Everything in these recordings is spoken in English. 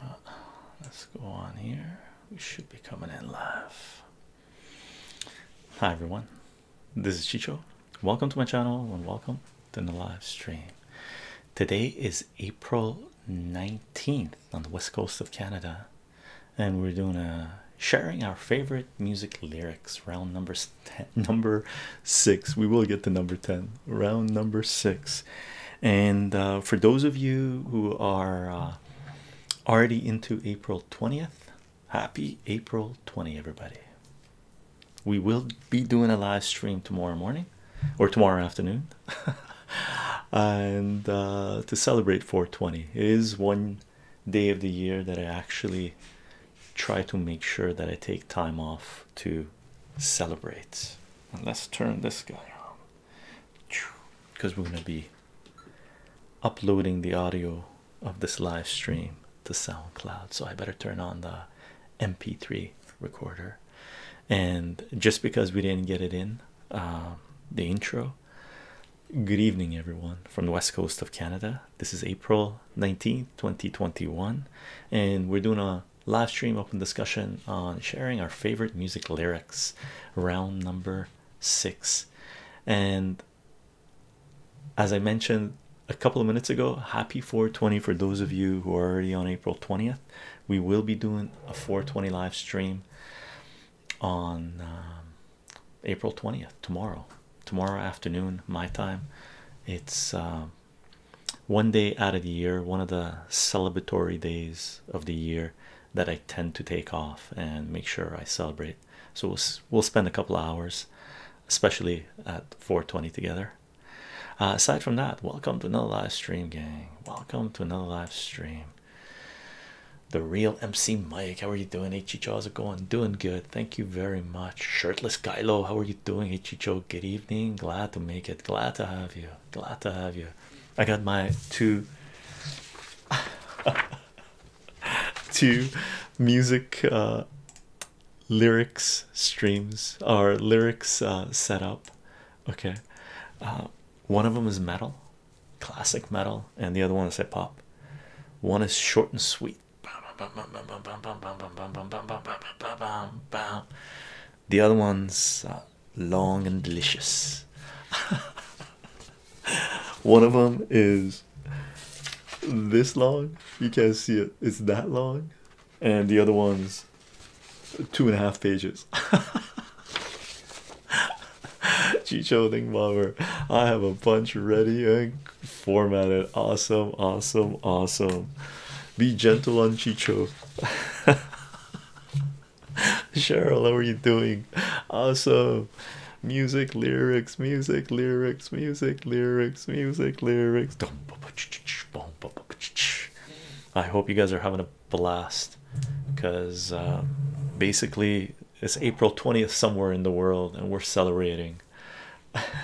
Uh, let's go on here. We should be coming in live. Hi everyone, this is Chicho. Welcome to my channel and welcome to the live stream. Today is April 19th on the west coast of Canada, and we're doing a sharing our favorite music lyrics round numbers number six. We will get to number 10 round number six. And uh, for those of you who are uh, already into April 20th, happy April 20, everybody. We will be doing a live stream tomorrow morning or tomorrow afternoon. and uh, to celebrate 420 it is one day of the year that I actually try to make sure that I take time off to celebrate. And let's turn this guy on because we're going to be uploading the audio of this live stream to SoundCloud. So I better turn on the MP3 recorder. And just because we didn't get it in, um, the intro. Good evening, everyone from the west coast of Canada. This is April 19th, 2021, and we're doing a live stream open discussion on sharing our favorite music lyrics round number six and as i mentioned a couple of minutes ago happy 420 for those of you who are already on april 20th we will be doing a 420 live stream on um, april 20th tomorrow tomorrow afternoon my time it's um, one day out of the year, one of the celebratory days of the year that I tend to take off and make sure I celebrate. So we'll, we'll spend a couple hours, especially at 420 together. Uh, aside from that, welcome to another live stream, gang. Welcome to another live stream. The real MC Mike, how are you doing? Hey, how's it going? Doing good. Thank you very much. Shirtless Kylo, how are you doing? Hey, good evening. Glad to make it. Glad to have you. Glad to have you. I got my two two music lyrics streams or lyrics set up. Okay, one of them is metal, classic metal, and the other one is hip hop. One is short and sweet. The other one's long and delicious. One of them is this long, you can't see it, it's that long, and the other one's two and a half pages. Chicho Ding Bomber, I have a bunch ready and formatted. Awesome, awesome, awesome. Be gentle on Chicho. Cheryl, how are you doing? Awesome. Music, lyrics, music, lyrics, music, lyrics, music, lyrics. I hope you guys are having a blast because uh, basically it's April 20th somewhere in the world and we're celebrating.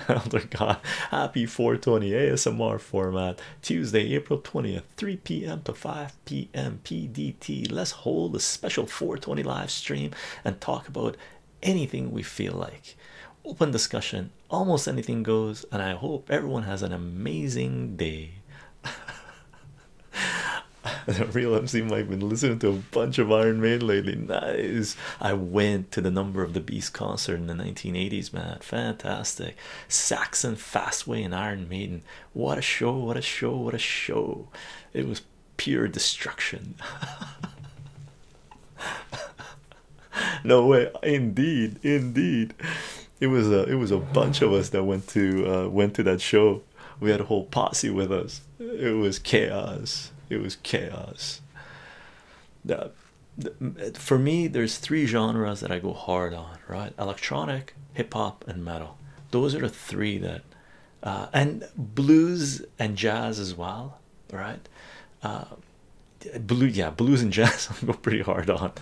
Elder oh, God, happy 420 ASMR format Tuesday, April 20th. 3 p.m. to 5 p.m. PDT. Let's hold a special 420 live stream and talk about anything we feel like. Open discussion, almost anything goes, and I hope everyone has an amazing day. the real MC I've been listening to a bunch of Iron Man lately. Nice. I went to the Number of the Beast concert in the 1980s, man. Fantastic. Saxon Fastway and Iron Maiden. What a show, what a show, what a show. It was pure destruction. no way, indeed, indeed. It was a it was a bunch of us that went to uh, went to that show. We had a whole posse with us. It was chaos. It was chaos. for me, there's three genres that I go hard on right? Electronic, hip hop, and metal. Those are the three that, uh, and blues and jazz as well, right? Uh, blue, yeah, blues and jazz. I am pretty hard on,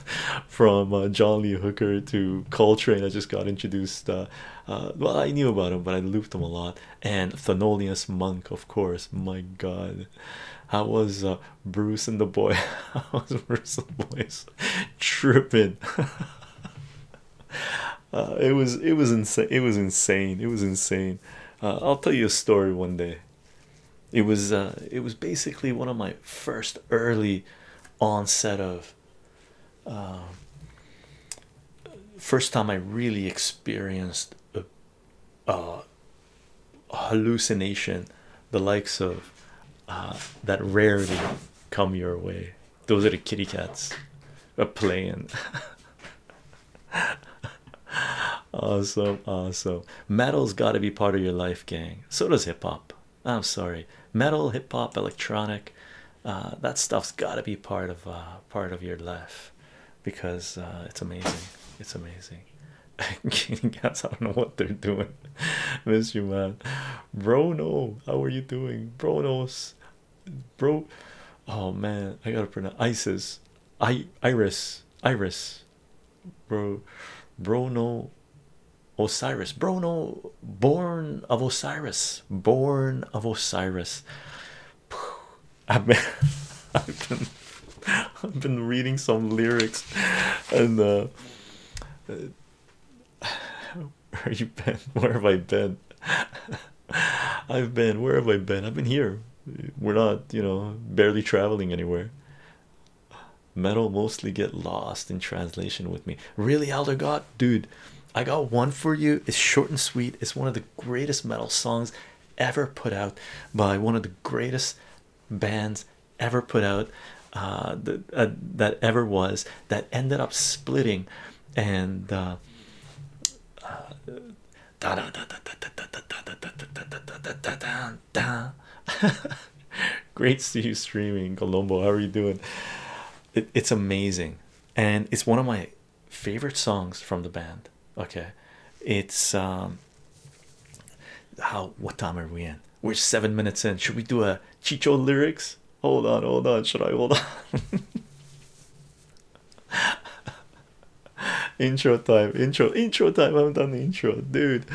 from uh, John Lee Hooker to Coltrane. I just got introduced. Uh, uh, well, I knew about him, but I looped him a lot. And Thanolius Monk, of course. My God, how was uh, Bruce and the boy house versus the boys tripping. Uh, it was it was insane. It was insane. It was insane. I'll tell you a story one day. It was uh, it was basically one of my first early onset of uh, first time I really experienced a, uh, hallucination the likes of uh, that rarely come your way those are the kitty cats are playing awesome awesome metal's got to be part of your life gang so does hip-hop i'm sorry metal hip-hop electronic uh, that stuff's got to be part of uh, part of your life because it's amazing it's amazing Cats, I don't know what they're doing. Miss you, man. Bro, how are you doing? Bronos, bro. Oh man, I gotta pronounce Isis. I Iris, Iris, bro, bro, Osiris, Brono, born of Osiris, born of Osiris. I've been, I've been, I've been reading some lyrics, and uh, Where you been? Where have I been? I've been. Where have I been? I've been here. We're not, you know, barely traveling anywhere. Metal mostly get lost in translation with me. Really, Elder God, dude. I got one for you. It's short and sweet. It's one of the greatest metal songs ever put out by one of the greatest bands ever put out that, ever was that ended up splitting and uh, uh, Great to see you streaming, Colombo. How are you doing? it's amazing, and it's one of my favorite songs from the band. Okay, it's um, how what time are we in? We're seven minutes in. Should we do a Chicho lyrics? Hold on, hold on. Should I hold on? intro time, intro, intro time. I haven't done the intro, dude.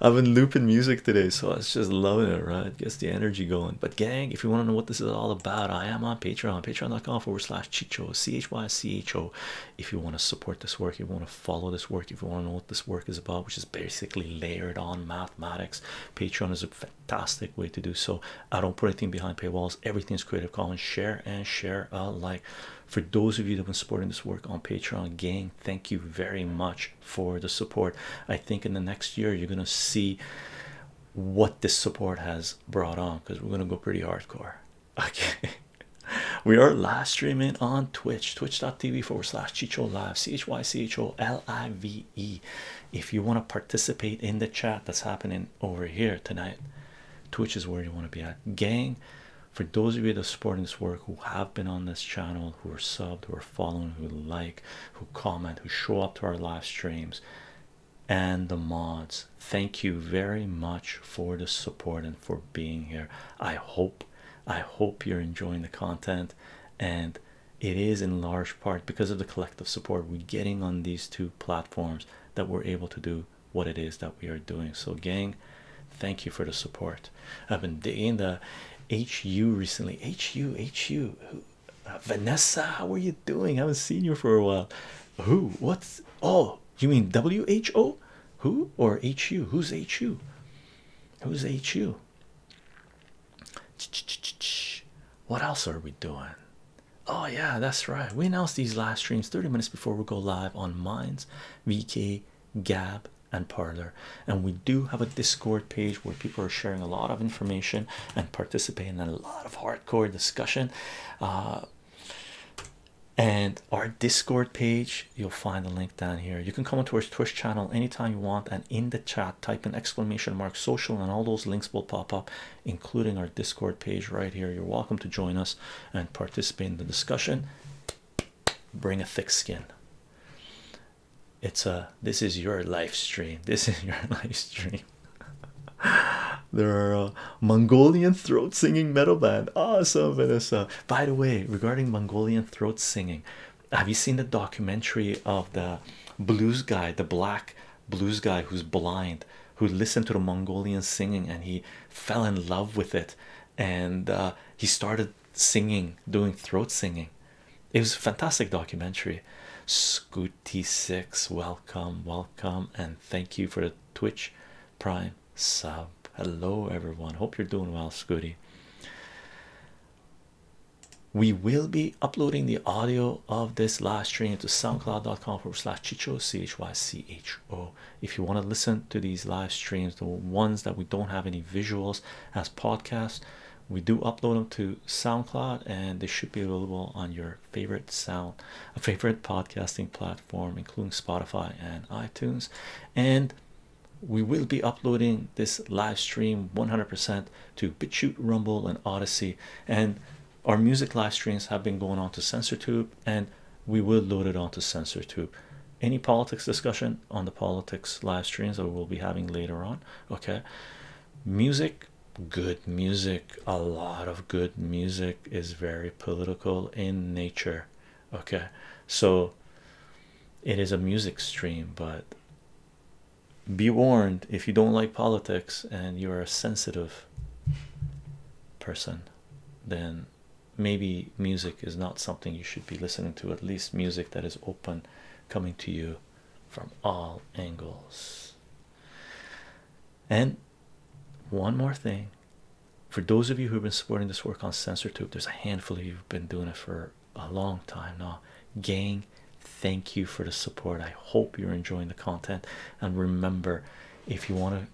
I've been looping music today, so I am just loving it, right? Guess the energy going. But gang, if you want to know what this is all about, I am on Patreon, patreon.com forward slash Chicho, C H Y C H O. If you want to support this work, you want to follow this work, if you want to know this work is about, which is basically layered on mathematics. Patreon is a fantastic way to do so. I don't put anything behind paywalls, Everything is Creative Commons. Share and share like. For those of you that have been supporting this work on Patreon, gang, thank you very much for the support. I think in the next year, you're going to see what this support has brought on because we're going to go pretty hardcore. Okay, we are live streaming on Twitch, twitch.com tv forward slash chicho live c-h-y-c-h-o-l-i-v-e if you want to participate in the chat that's happening over here tonight twitch is where you want to be at gang for those of you that are supporting this work who have been on this channel who are subbed who are following who like who comment who show up to our live streams and the mods thank you very much for the support and for being here i hope i hope you're enjoying the content and it is in large part because of the collective support we're getting on these two platforms that we're able to do what it is that we are doing so gang thank you for the support i've been digging the hu recently hu hu uh, vanessa how are you doing i haven't seen you for a while who what's oh you mean who who or hu who's hu who's hu what else are we doing? Oh, yeah, that's right. We announce these live streams 30 minutes before we go live on Minds, VK, Gab, and Parlor. And we do have a Discord page where people are sharing a lot of information and participating in a lot of hardcore discussion. Uh, and our Discord page you'll find the link down here you can come onto our twitch channel anytime you want and in the chat type in exclamation mark social and all those links will pop up including our discord page right here you're welcome to join us and participate in the discussion bring a thick skin it's a this is your live stream this is your live stream there are a uh, mongolian throat singing metal band awesome vanessa by the way regarding mongolian throat singing have you seen the documentary of the blues guy the black blues guy who's blind who listened to the mongolian singing and he fell in love with it and uh, he started singing doing throat singing it was a fantastic documentary scooty 6 welcome welcome and thank you for the twitch prime sub hello everyone hope you're doing well scooty we will be uploading the audio of this live stream to soundcloud.com forward slash chicho c-h-y-c-h-o if you want to listen to these live streams the ones that we don't have any visuals as podcasts we do upload them to soundcloud and they should be available on your favorite sound a favorite podcasting platform including spotify and itunes and we will be uploading this live stream 100% to BitChute, Rumble, and Odyssey. And our music live streams have been going on to CensorTube, and we will load it onto CensorTube. Any politics discussion on the politics live streams that we'll be having later on. Okay, music, good music, a lot of good music is very political in nature okay so it is a music stream but be warned if you don't like politics and you are a sensitive person then maybe music is not something you should be listening to at least music that is open coming to you from all angles and one more thing for those of you who've been supporting this work on SensorTube, there's a handful of you who've been doing it for a long time now. Gang, thank you for the support. I hope you're enjoying the content. And remember, if you want to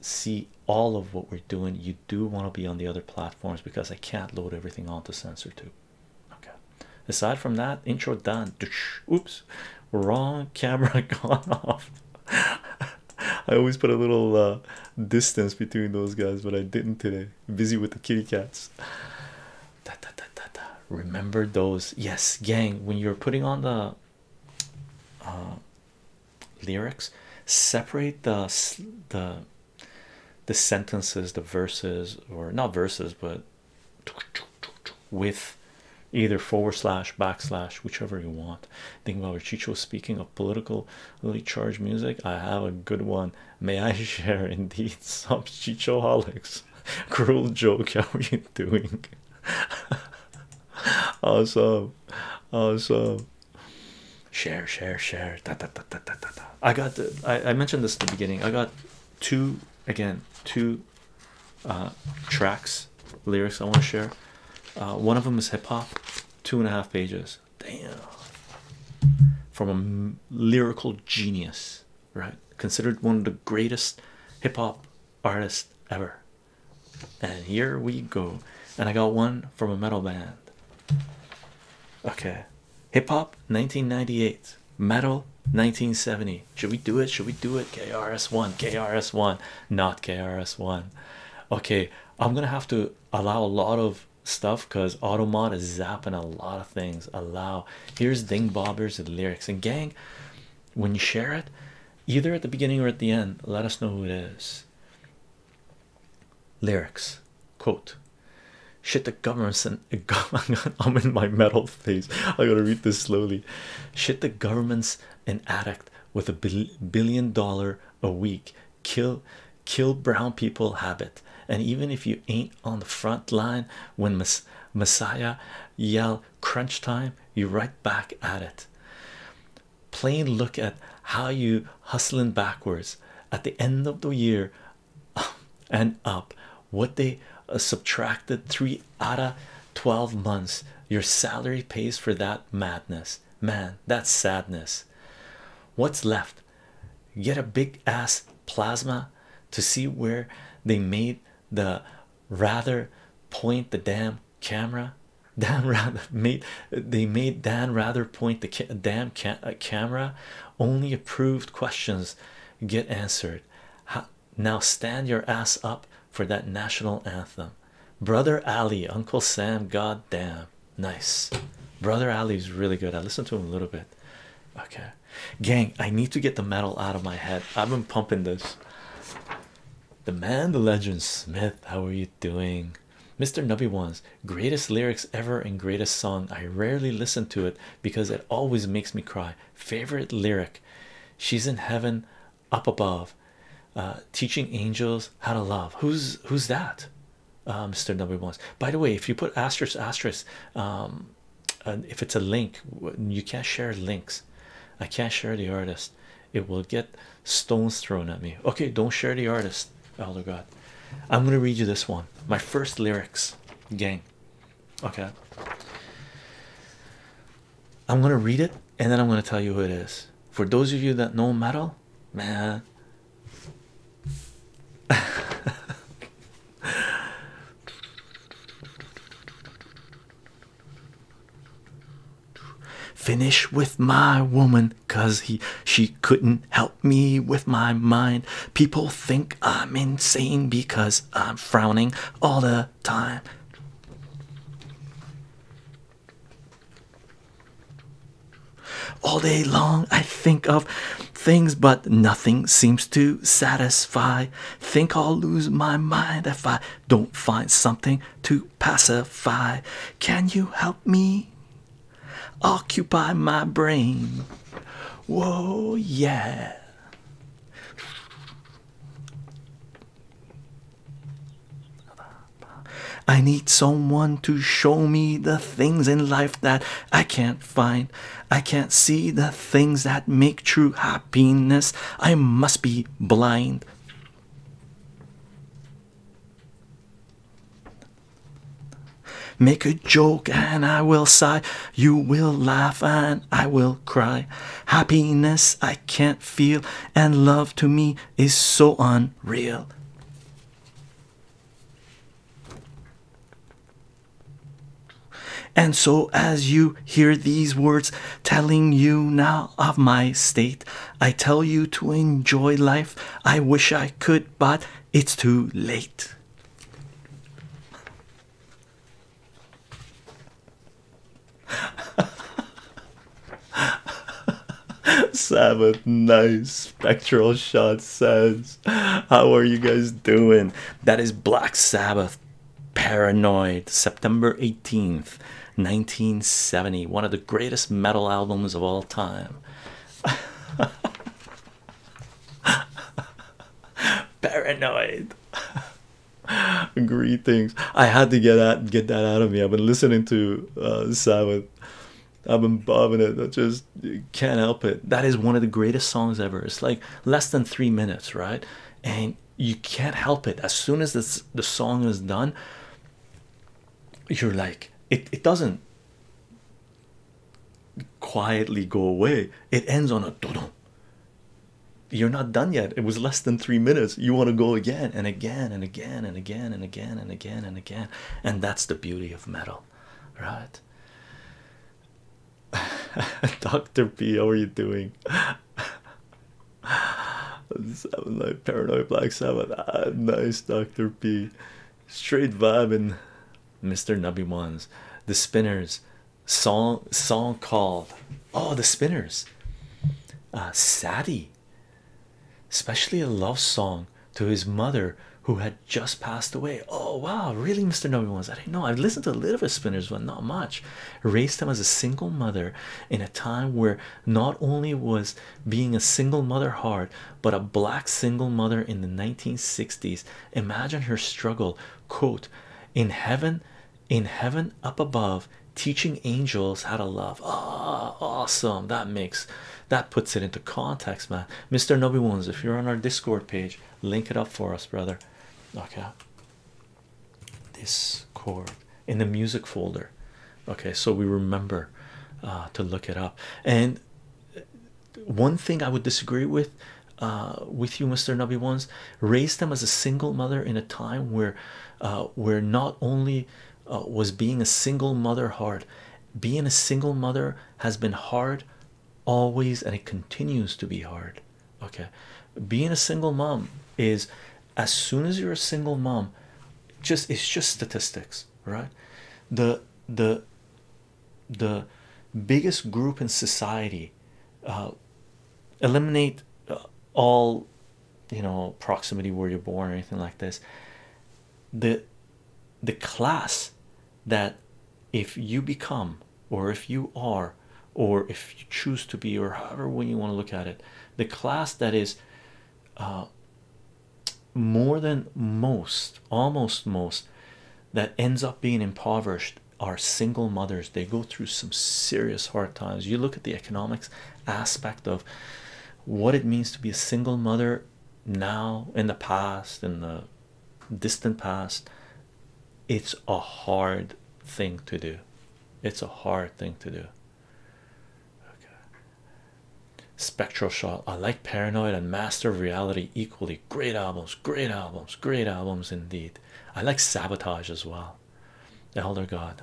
see all of what we're doing, you do want to be on the other platforms because I can't load everything onto SensorTube. Okay. Aside from that, intro done. Oops, wrong camera gone off. I always put a little uh, distance between those guys, but I didn't today busy with the kitty cats. Da, da, da, da, da. Remember those, yes, gang. When you're putting on the uh, lyrics, separate the the the sentences, the verses, or not verses, but with either forward slash backslash, whichever you want. Think about what Chicho speaking of politically charged music. I have a good one May I share indeed some chichoholics? Cruel joke, how are you doing? awesome, awesome. Share, share, share. Da, da, da, da, da, da. I got I, I mentioned this at the beginning. I got two again, two uh, tracks, lyrics I want to share. Uh, one of them is hip hop, two and a half pages. Damn. From a lyrical genius, right? Considered one of the greatest hip hop artists ever. And here we go. And I got one from a metal band. Okay. Hip hop 1998, metal 1970. Should we do it? Should we do it? KRS1, KRS1, not KRS1. Okay, I'm gonna have to allow a lot of stuff because automod is zapping a lot of things allow here's Dingbobs bobbers lyrics and gang when you share it either at the beginning or at the end let us know who it is lyrics quote shit the government sent i'm in my metal phase i gotta read this slowly shit the government's an addict with a billion dollar a week kill kill brown people habit and even if you ain't on the front line when messiah yell crunch time you right back at it plain look at how you hustling backwards at the end of the year and up what they uh, subtracted three outta 12 months your salary pays for that madness man that's sadness what's left get a big ass plasma to see where they made the rather point the damn camera damn rather made they made dan rather point the damn uh, camera only approved questions get answered How now stand your ass up for that national anthem brother ali uncle sam goddamn. Nice. Brother Ali's really good. I listened to him a little bit. Okay. Gang, I need to get the metal out of my head. I've been pumping this. The man, the legend, Smith. How are you doing? Mr. Nubby Ones, greatest lyrics ever and greatest song. I rarely listen to it because it always makes me cry. Favorite lyric. She's in heaven up above. Uh, teaching angels how to love. Who's who's that? Mr. W Bones. By the way, if you put asterisk asterisk, um, if it's a link, you can't share links. I can't share the artist. It will get stones thrown at me. Okay, don't share the artist. Elder God, I'm gonna read you this one. My first lyrics, gang. Okay. I'm gonna read it and then I'm gonna tell you who it is. For those of you that know metal, man. Finish with my woman, cause he she couldn't help me with my mind. People think I'm insane because I'm frowning all the time. All day long, I think of things, but nothing seems to satisfy. Think I'll lose my mind if I don't find something to pacify. Can you help me occupy my brain? Whoa, yeah. I need someone to show me the things in life that I can't find, I can't see the things that make true happiness. I must be blind. Make a joke and I will sigh. You will laugh and I will cry. Happiness I can't feel, and love to me is so unreal. And so, as you hear these words telling you now of my state, I tell you to enjoy life. I wish I could, but it's too late. Sabbath, nice spectral shot says How are you guys doing? That is Black Sabbath Paranoid, September 18th, 1970. One of the greatest metal albums of all time. Paranoid. Greetings. I had to get that get that out of me. I've been listening to uh, Sabbath. I've been bobbing it. That just just uh, can't help it. That is one of the greatest songs ever. It's like less than three minutes, right? And you can't help it. As soon as this the song is done, you're like it, it doesn't quietly go away. It ends on a dodum. You're not done yet. It was less than three minutes. You want to go again and again and again and again and again and again and again. And that's the beauty of metal right? Dr. P, how are you doing? Seven Night Paranoid Black Sabbath. Ah, nice, Dr. P. Straight vibe Mr. Nubby Ones. The Spinners. Song song called. Oh, the Spinners. Uh, Sadie. Especially a love song to his mother who had just passed away. Oh wow, really, Mr. Number Ones? I didn't know. I've listened to a little bit of Spinners, but not much. Raised him as a single mother in a time where not only was being a single mother hard, but a black single mother in the 1960s. Imagine her struggle. Quote, in heaven, in heaven up above, teaching angels how to love. Ah, oh, awesome. That makes that puts it into context, man. Mr. Nobby Wounds, if you're on our Discord page, link it up for us, brother. Okay, this chord in the music folder. Okay, so we remember uh, to look it up. And uh, one thing I would disagree with. Uh, with you, Mr. Nubby ones raised them as a single mother in a time where, where not only was being a single mother hard, being a single mother has been hard always and it continues to be hard okay being a single mom is as soon as you're a single mom just it's just statistics right the the the biggest group in society uh, eliminate uh, all you know proximity where you're born or anything like this the the class that if you become or if you are or if you choose to be or however when you want to look at it the class that is uh, more than most almost most that ends up being impoverished are single mothers they go through some serious hard times you look at the economics aspect of what it means to be a single mother now in the past in the distant past it's a hard thing to do it's a hard thing to do spectral shot i like paranoid and master of reality equally great albums great albums great albums indeed i like sabotage as well elder god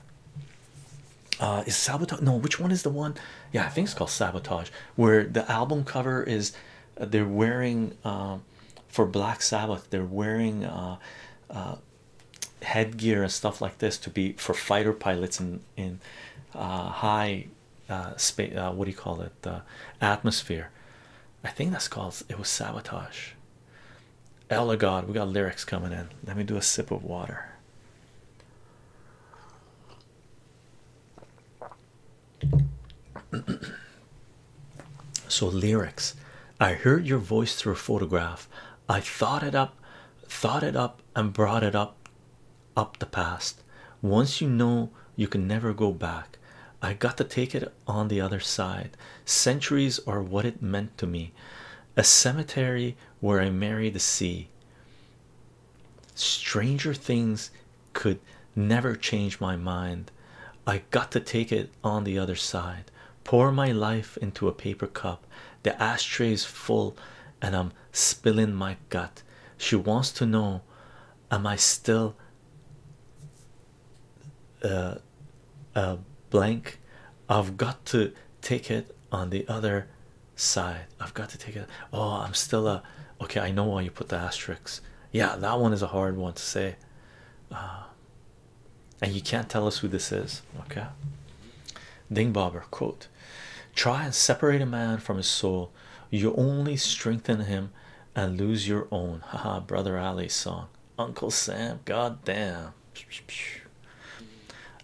uh is sabotage no which one is the one yeah i think it's called sabotage where the album cover is uh, they're wearing uh, for Black Sabbath, they're wearing uh, headgear and stuff like this to be for fighter pilots in in high space. what do you call it? atmosphere. I think that's called. It was sabotage. Ella oh God, we got lyrics coming in. Let me do a sip of water. so lyrics i heard your voice through a photograph i thought it up thought it up and brought it up up the past once you know you can never go back i got to take it on the other side centuries are what it meant to me a cemetery where i marry the sea stranger things could never change my mind. I got to take it on the other side, pour my life into a paper cup. The ashtray's full, and I'm spilling my gut. She wants to know, am I still uh, a blank? I've got to take it on the other side. I've got to take it. Oh, I'm still a okay i know why you put the asterisks yeah that one is a hard one to say uh, and you can't tell us who this is okay ding bobber quote try and separate a man from his soul you only strengthen him and lose your own haha brother ali's song uncle sam god damn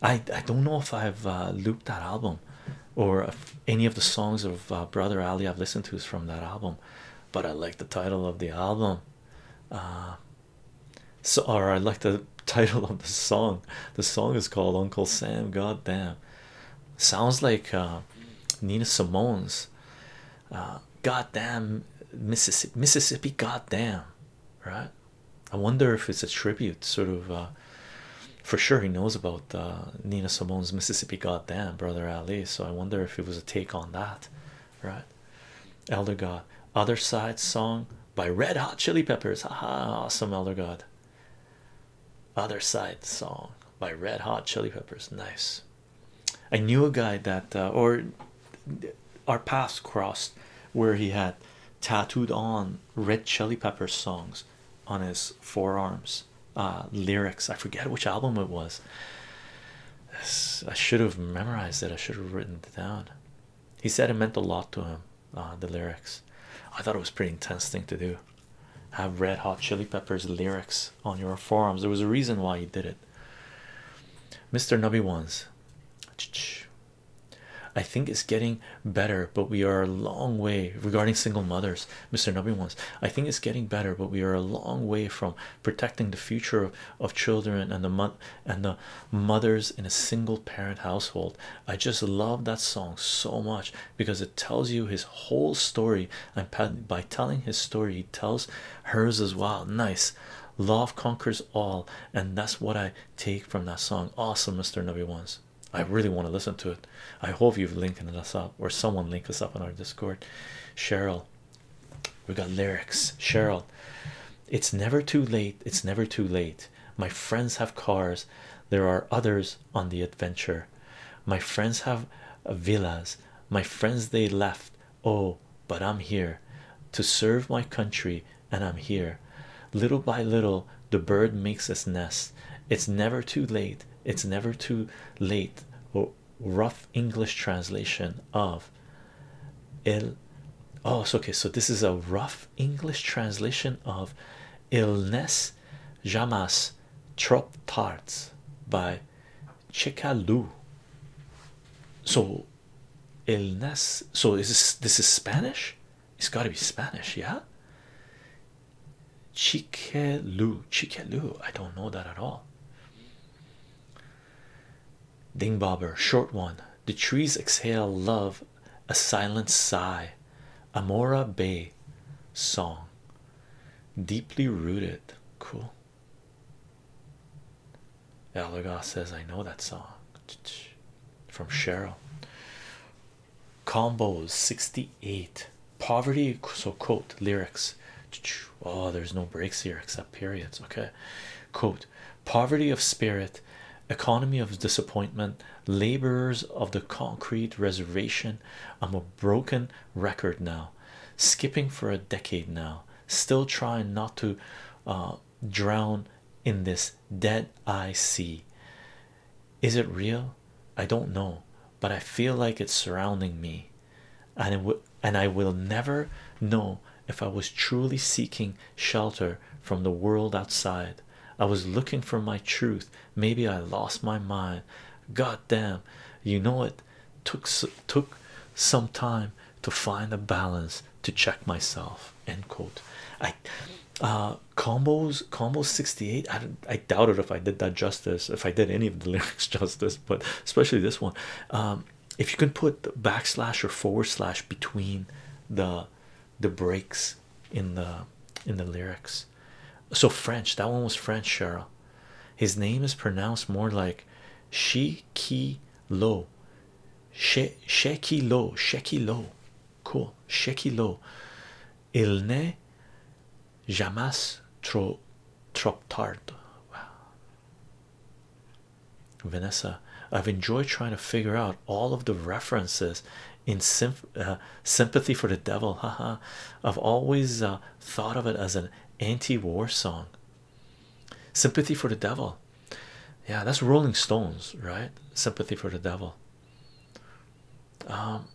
I, I don't know if I've uh, looped that album or any of the songs of uh, Brother Ali I've listened to is from that album, but I like the title of the album. Uh, so, or I like the title of the song. The song is called Uncle Sam. God damn, sounds like uh, Nina Simone's God damn Mississippi, Mississippi. damn, right? I wonder if it's a tribute, sort of for sure he knows about uh, Nina Simone's Mississippi Goddamn Brother Ali. So I wonder if it was a take on that, right? Elder God, Other Side song by Red Hot Chili Peppers. Haha, awesome, Elder God. Other Side song by Red Hot Chili Peppers. Nice. I knew a guy that, uh, or our paths crossed where he had tattooed on Red Chili Pepper songs on his forearms uh, lyrics. I forget which album it was. I should have memorized it. I should have written it down. He said it meant a lot to him. Uh, the lyrics. I thought it was pretty intense thing to do. Have Red Hot Chili Peppers lyrics on your forums. There was a reason why he did it. Mr. Nubby ones. I think it's getting better, but we are a long way regarding single mothers. Mr. Nubby ones, I think it's getting better, but we are a long way from protecting the future of, children and the and the mothers in a single parent household. I just love that song so much because it tells you his whole story, and by telling his story, he tells hers as well. Nice. Love conquers all, and that's what I take from that song. Awesome, Mr. Nubby ones. I really want to listen to it. I hope you've linked us up or someone linked us up on our Discord. Cheryl, we got lyrics. Cheryl, it's never too late. It's never too late. My friends have cars. There are others on the adventure. My friends have villas. My friends they left. Oh, but I'm here to serve my country, and I'm here. Little by little, the bird makes its nest it's never too late it's never too late rough english translation of il oh so okay so this is a rough english translation of illness jamas trop tarts by Chicalú. So, illness. So is this this is Spanish? It's got to be Spanish, yeah. Chikelu, Chikelu, I don't know that at all. Dingbobber, short one. The trees exhale love, a silent sigh. Amora Bay song, deeply rooted. Cool. Eldergoss says, I know that song from Cheryl combos 68 poverty so quote lyrics oh there's no breaks here except periods okay quote poverty of spirit economy of disappointment laborers of the concrete reservation i'm a broken record now skipping for a decade now still trying not to uh, drown in this dead eye sea is it real i don't know but I feel like it's surrounding me, and it would and I will never know if I was truly seeking shelter from the world outside. I was looking for my truth. Maybe I lost my mind. God damn, you know it took took some time to find a balance to check myself. End quote. I uh combos combo 68 I, do I I doubted if I did that justice, if I did any of the lyrics justice, but especially this one. Um, if you can put backslash or forward slash between the the breaks in the in the lyrics, so French. That one was French, Cheryl. His name is pronounced more like she ki lo, she she ki lo, she ki lo. Cool, she ki lo. Il n'est jamais trop trop tard. Wow. Vanessa, I've enjoyed trying to figure out all of the references in uh, sympathy for the devil. I've always uh, thought of it as an anti-war song. Sympathy for the devil. Yeah, that's Rolling Stones, right? Sympathy for the devil. Um,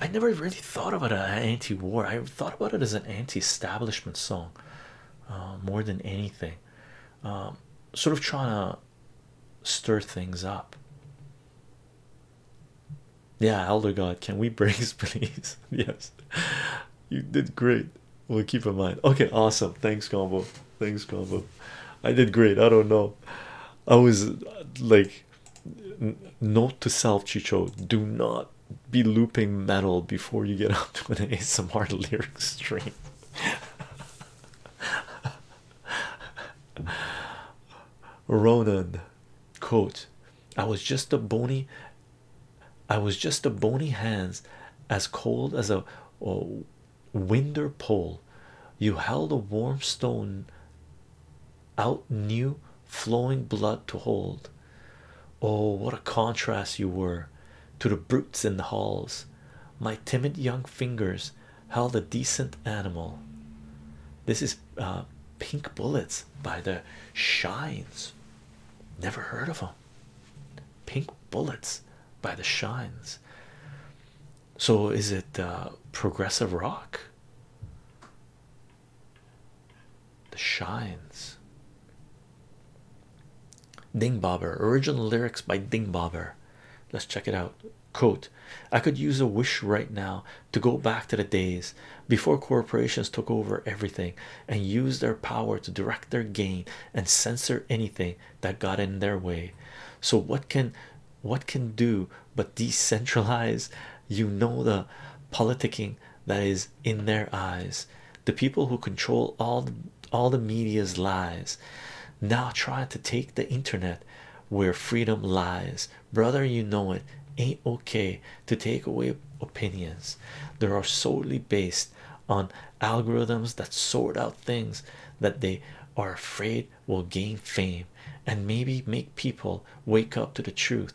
I never really thought about it as anti-war. I thought about it as an anti-establishment song, uh, more than anything. Um, sort of trying to stir things up. Yeah, Elder God, can we brace, please? yes, you did great. we keep in mind. Okay, awesome. Thanks, combo. Thanks, combo. I did great. I don't know. I was like like note to self chicho do not be looping metal before you get up to an asmr lyric stream ronan quote i was just a bony i was just a bony hands as cold as a oh, winder pole you held a warm stone out new flowing blood to hold. Oh, what a contrast you were to the brutes in the halls! My timid young fingers held a decent animal. This is uh, Pink Bullets by the Shines. Never heard of them. Pink Bullets by the Shines. So, is it uh, progressive rock? The Shines. Ding Bobber. Original lyrics by Ding Bobber. Let's check it out. Quote, I could use a wish right now to go back to the days before corporations took over everything and used their power to direct their gain and censor anything that got in their way. So what can what can do but decentralize you know the politicking that is in their eyes the people who control all all the media's lies now trying to take the internet where freedom lies brother you know it ain't okay to take away opinions they are solely based on algorithms that sort out things that they are afraid will gain fame and maybe make people wake up to the truth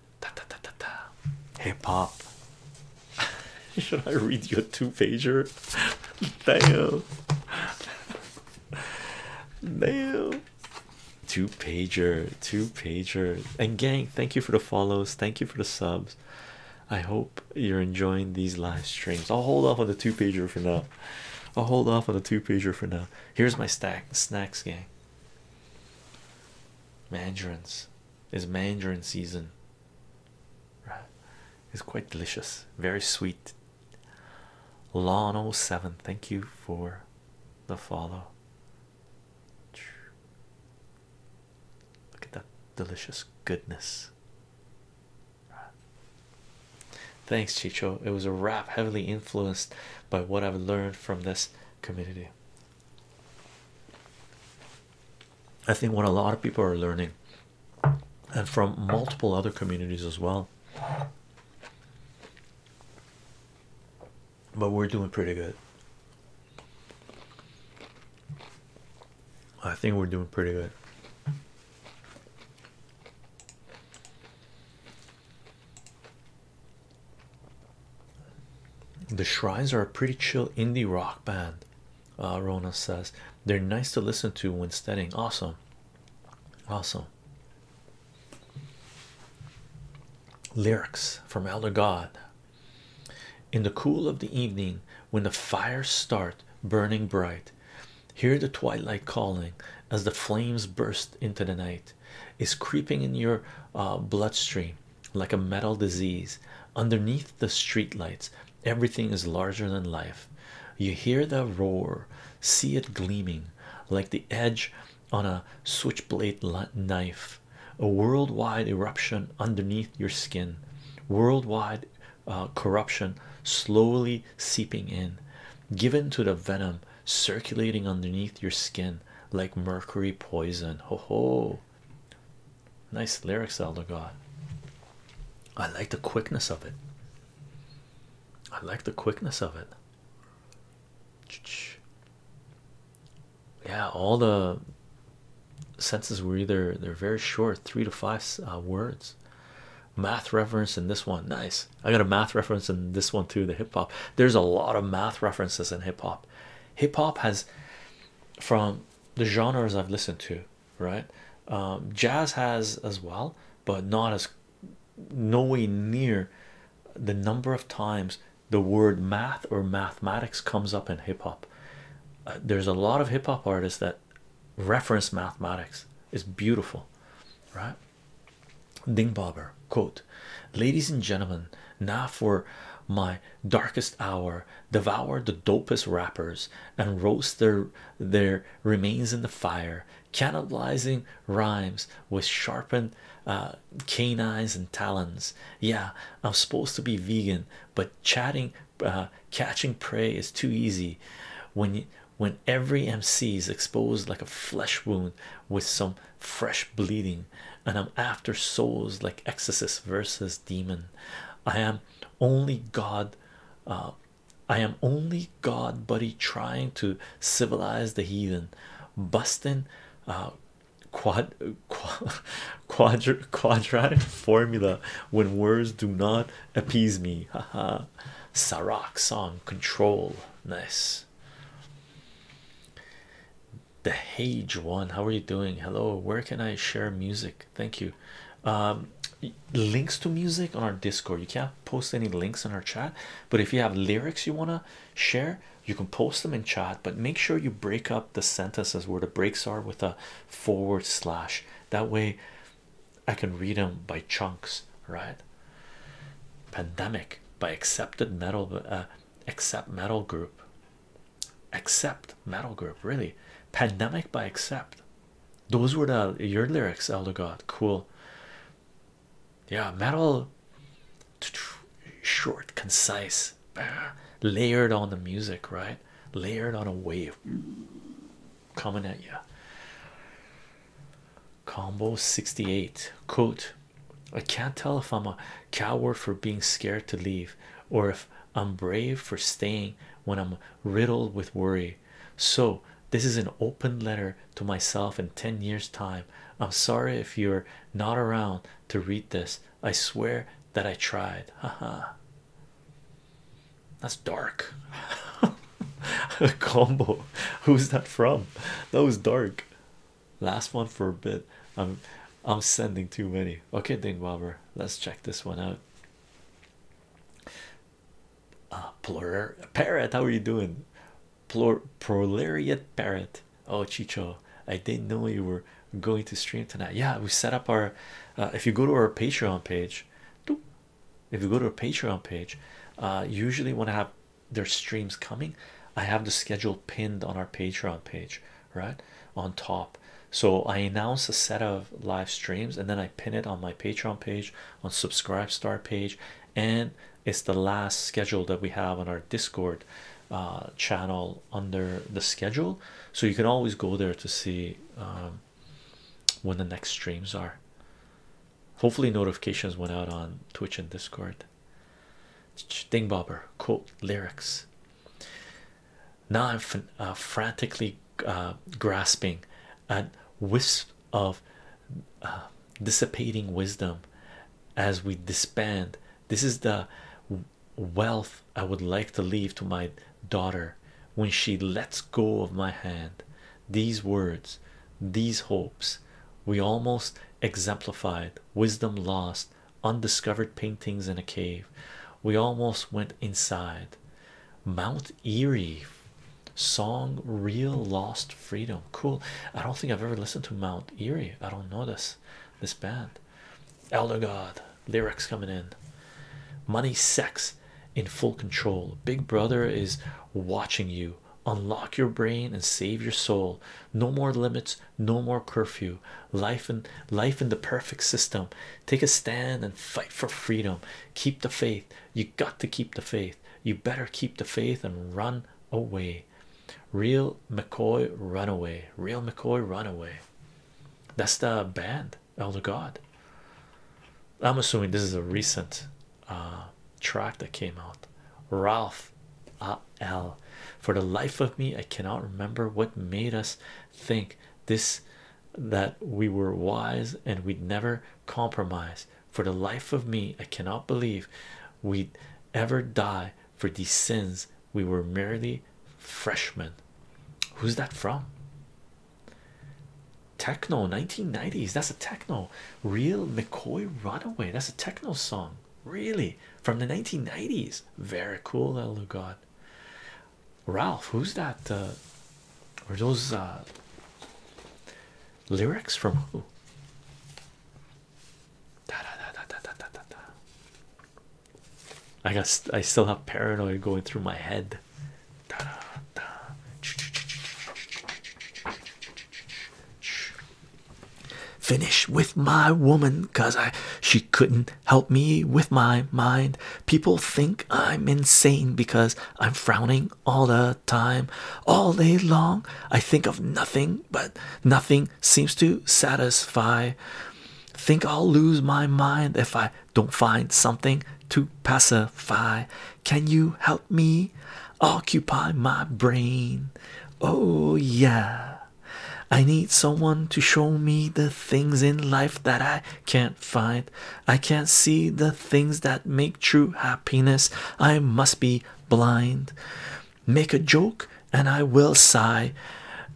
da, da, da, da, da. hip hop. Should I read your two pager? Damn. Damn. Two pager, two pager. And gang, thank you for the follows. Thank you for the subs. I hope you're enjoying these live streams. I'll hold off on the two pager for now. I'll hold off on the two pager for now. Here's my stack snacks, gang. Mandarins is mandarin season. Right. It's quite delicious, very sweet. Lawn 07, thank you for the follow. Look at that delicious goodness. Thanks, Chicho. It was a rap heavily influenced by what I've learned from this community. I think what a lot of people are learning, and from multiple other communities as well. But we're doing pretty good. I think we're doing pretty good. The Shrines are a pretty chill indie rock band. Uh, Rona says they're nice to listen to when studying. Awesome, awesome. Lyrics from Elder God. In the cool of the evening, when the fires start burning bright, hear the twilight calling as the flames burst into the night. Is creeping in your uh, bloodstream like a metal disease underneath the streetlights everything is larger than life you hear the roar see it gleaming like the edge on a switchblade knife a worldwide eruption underneath your skin worldwide uh, corruption slowly seeping in given to the venom circulating underneath your skin like mercury poison. Ho ho! Nice lyrics, Elder God. I like the quickness of it. I like the quickness of it. Yeah, all the senses were either they're very short, three to five uh, words. Math reference in this one, nice. I got a math reference in this one too. The hip hop. There's a lot of math references in hip hop. Hip hop has from the genres I've listened to, right? Um, jazz has as well, but not as nowhere near the number of times the word math or mathematics comes up in hip hop. Uh, there's a lot of hip hop artists that reference mathematics. It's beautiful, right? Dingbobber quote, ladies and gentlemen, now for my darkest hour, devour the dopest rappers and roast their their remains in the fire, cannibalizing rhymes with sharpened uh, canines and talons. Yeah, I'm supposed to be vegan, but uh, catching prey is too easy. When when every MC is exposed like a flesh wound with some fresh bleeding and i'm after souls like exorcist versus demon i am only god uh, i am only god buddy trying to civilize the heathen busting uh, quad, quadratic formula when words do not appease me haha Sarak song control nice the Hage one, how are you doing? Hello, where can I share music? Thank you. Um, links to music on our Discord. You can't post any links in our chat, but if you have lyrics you want to share, you can post them in chat. But make sure you break up the sentences where the breaks are with a forward slash. That way, I can read them by chunks, right? Pandemic by accepted metal uh, Accept Metal Group. Accept Metal Group, really. Pandemic by Accept. Those were the your lyrics, Elder God. Cool. Yeah, metal short, concise, layered on the music, right? Layered on a wave coming at you combo 68 quote i can't tell if i'm a coward for being scared to leave or if i'm brave for staying when i'm riddled with worry so this is an open letter to myself in 10 years time i'm sorry if you're not around to read this i swear that i tried haha that's dark combo who's that from that was dark last one for a bit i'm i'm sending too many okay dingwobber let's check this one out uh plur parrot how are you doing Plur prolariat parrot oh chicho i didn't know you were going to stream tonight yeah we set up our uh, if you go to our patreon page if you go to our patreon page uh usually want to have their streams coming i have the schedule pinned on our patreon page right on top so i announce a set of live streams and then i pin it on my patreon page on subscribe star page and it's the last schedule that we have on our discord uh, channel under the schedule so you can always go there to see um, when the next streams are hopefully notifications went out on twitch and discord it. quote lyrics. Now I'm uh, frantically uh, grasping at wisp of uh, dissipating wisdom as we disband. This is the wealth I would like to leave to my daughter when she lets go of my hand. These words, these hopes, we almost exemplified wisdom lost undiscovered paintings in a cave we almost went inside mount erie song real lost freedom cool i don't think i've ever listened to mount erie i don't know this this band elder god lyrics coming in money sex in full control big brother is watching you unlock your brain and save your soul no more limits no more curfew life in life in the perfect system take a stand and fight for freedom keep the faith you got to keep the faith you better keep the faith and run away real mccoy runaway real mccoy runaway that's the band elder god i'm assuming this is a recent uh track that came out ralph A L. for the life of me i cannot remember what made us think this that we were wise and we'd never compromise for the life of me i cannot believe we'd ever die for these sins we were merely freshmen who's that from techno 1990s that's a techno real mccoy runaway that's a techno song Really? From the 1990s? Very cool, Elder God. Ralph, who's that? Uh, or those uh, lyrics from who? Da, da, da, da, da, da, da, da. I guess I still have paranoia going through my head. Da, da, da. Finish with my woman, cause I she couldn't help me with my mind. People think I'm insane because I'm frowning all the time, all day long. I think of nothing, but nothing seems to satisfy. Think I'll lose my mind if I don't find something to pacify. Can you help me occupy my brain? Oh, yeah. I need someone to show me the things in life that I can't find. I can't see the things that make true happiness. I must be blind. Make a joke, and I will sigh,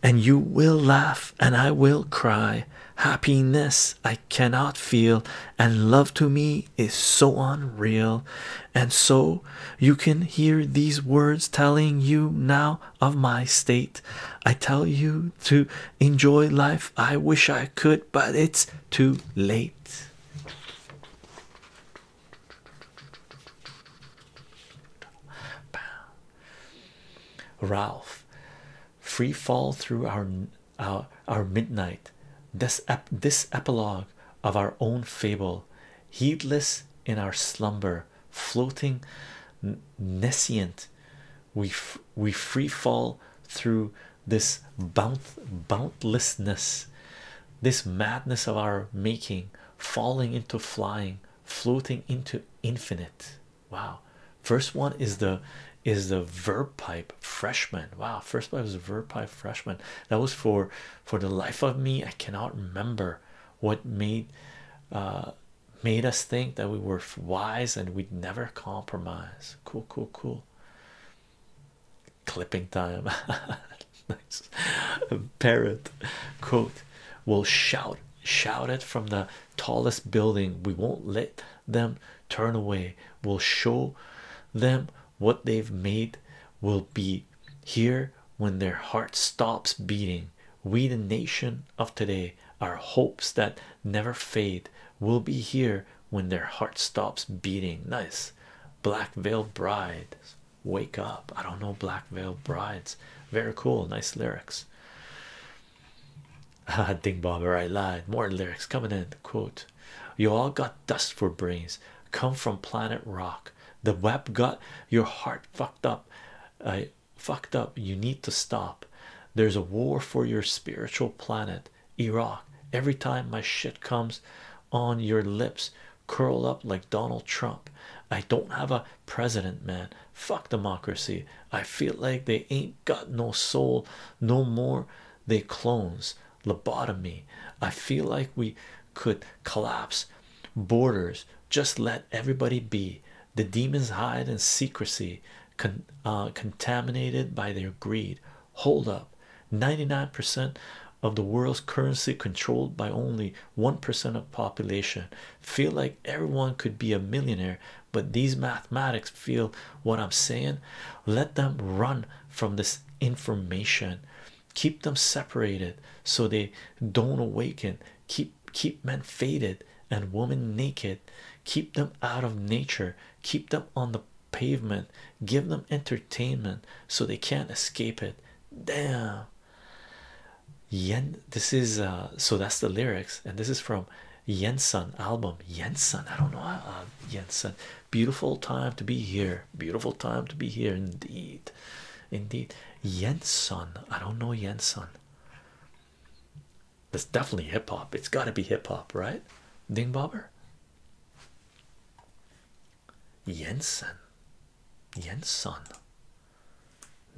and you will laugh, and I will cry. Happiness I cannot feel, and love to me is so unreal. And so you can hear these words telling you now of my state. I tell you to enjoy life. I wish I could, but it's too late. Ralph, free fall through our uh, our midnight. This this epilogue of our own fable heedless in our slumber, floating nescient, we we free fall through this bount boundlessness, this madness of our making, falling into flying, floating into infinite. Wow, first one is the is the verb pipe freshman. Wow, first one was the verb pipe freshman. That was for for the life of me i cannot remember what made uh, made us think that we were wise and we'd never compromise cool cool cool clipping time a parrot quote we'll shout shout it from the tallest building we won't let them turn away we'll show them what they've made will be here when their heart stops beating. We, the nation of today, our hopes that never fade will be here when their heart stops beating. Nice, Black Veil Bride. Wake up. I don't know, Black Veil Brides. Very cool, nice lyrics. Ah, Ding Bobber, I lied. More lyrics coming in. Quote You all got dust for brains, come from planet rock the web got your heart fucked up i uh, fucked up you need to stop there's a war for your spiritual planet iraq every time my shit comes on your lips curl up like donald trump i don't have a president man fuck democracy i feel like they ain't got no soul no more they clones lobotomy i feel like we could collapse borders just let everybody be the demons hide in secrecy uh, contaminated by their greed hold up 99% of the world's currency controlled by only 1% of population feel like everyone could be a millionaire but these mathematics feel what i'm saying let them run from this information keep them separated so they don't awaken keep keep men faded and women naked keep them out of nature keep them on the pavement give them entertainment so they can't escape it damn yen this is uh, so that's the lyrics and this is from Jensen album Jensen I don't know uh, Jensen beautiful time to be here beautiful time to be here indeed indeed. Yenson, I don't know Yenson. It's definitely hip hop. It's got to be hip hop, right? Ding bobber. Jensen, Jensen.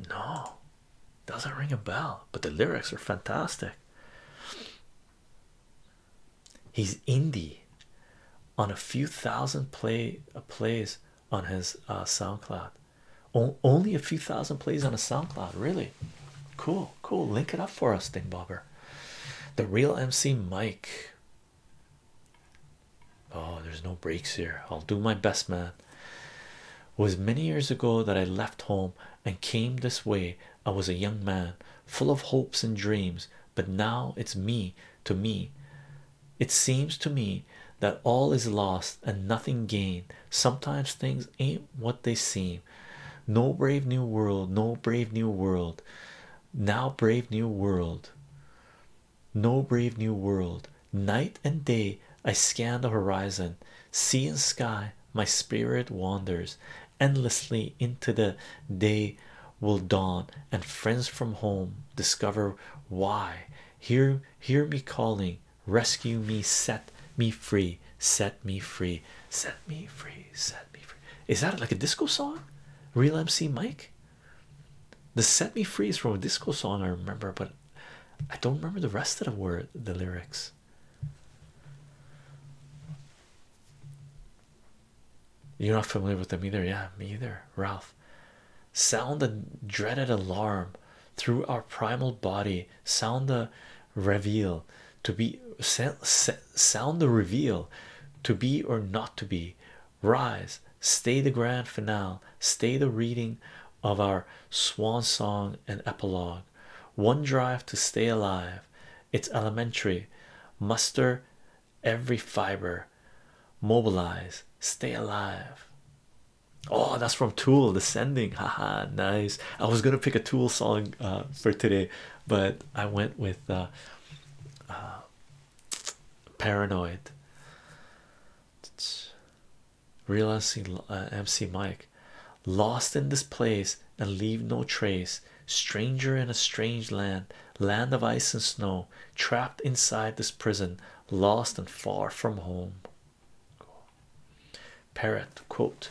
No, doesn't ring a bell. But the lyrics are fantastic. He's indie on a few thousand play uh, plays on his uh, SoundCloud. O only a few thousand plays on a SoundCloud, really. Cool, cool. Link it up for us, Ding Bobber. The real MC Mike. Oh, there's no breaks here. I'll do my best, man. It was many years ago that I left home and came this way. I was a young man full of hopes and dreams, but now it's me to me it seems to me that all is lost and nothing gained. Sometimes things ain't what they seem. No brave new world, no brave new world. Now, brave new world, no brave new world. Night and day, I scan the horizon, sea and sky. My spirit wanders endlessly into the day will dawn and friends from home discover why hear hear me calling rescue me set me free set me free set me free set me free is that like a disco song real mc mike the set me free is from a disco song i remember but i don't remember the rest of the word the lyrics you're not familiar with them either yeah me either ralph sound the dreaded alarm through our primal body sound the reveal to be sound the reveal to be or not to be rise stay the grand finale stay the reading of our swan song and epilogue one drive to stay alive it's elementary muster every fiber mobilize stay alive oh that's from tool descending haha nice i was gonna pick a tool song uh, for today but i went with uh, uh, paranoid realizing uh, mc mike lost in this place and leave no trace stranger in a strange land land of ice and snow trapped inside this prison, lost and far from home. Parrot quote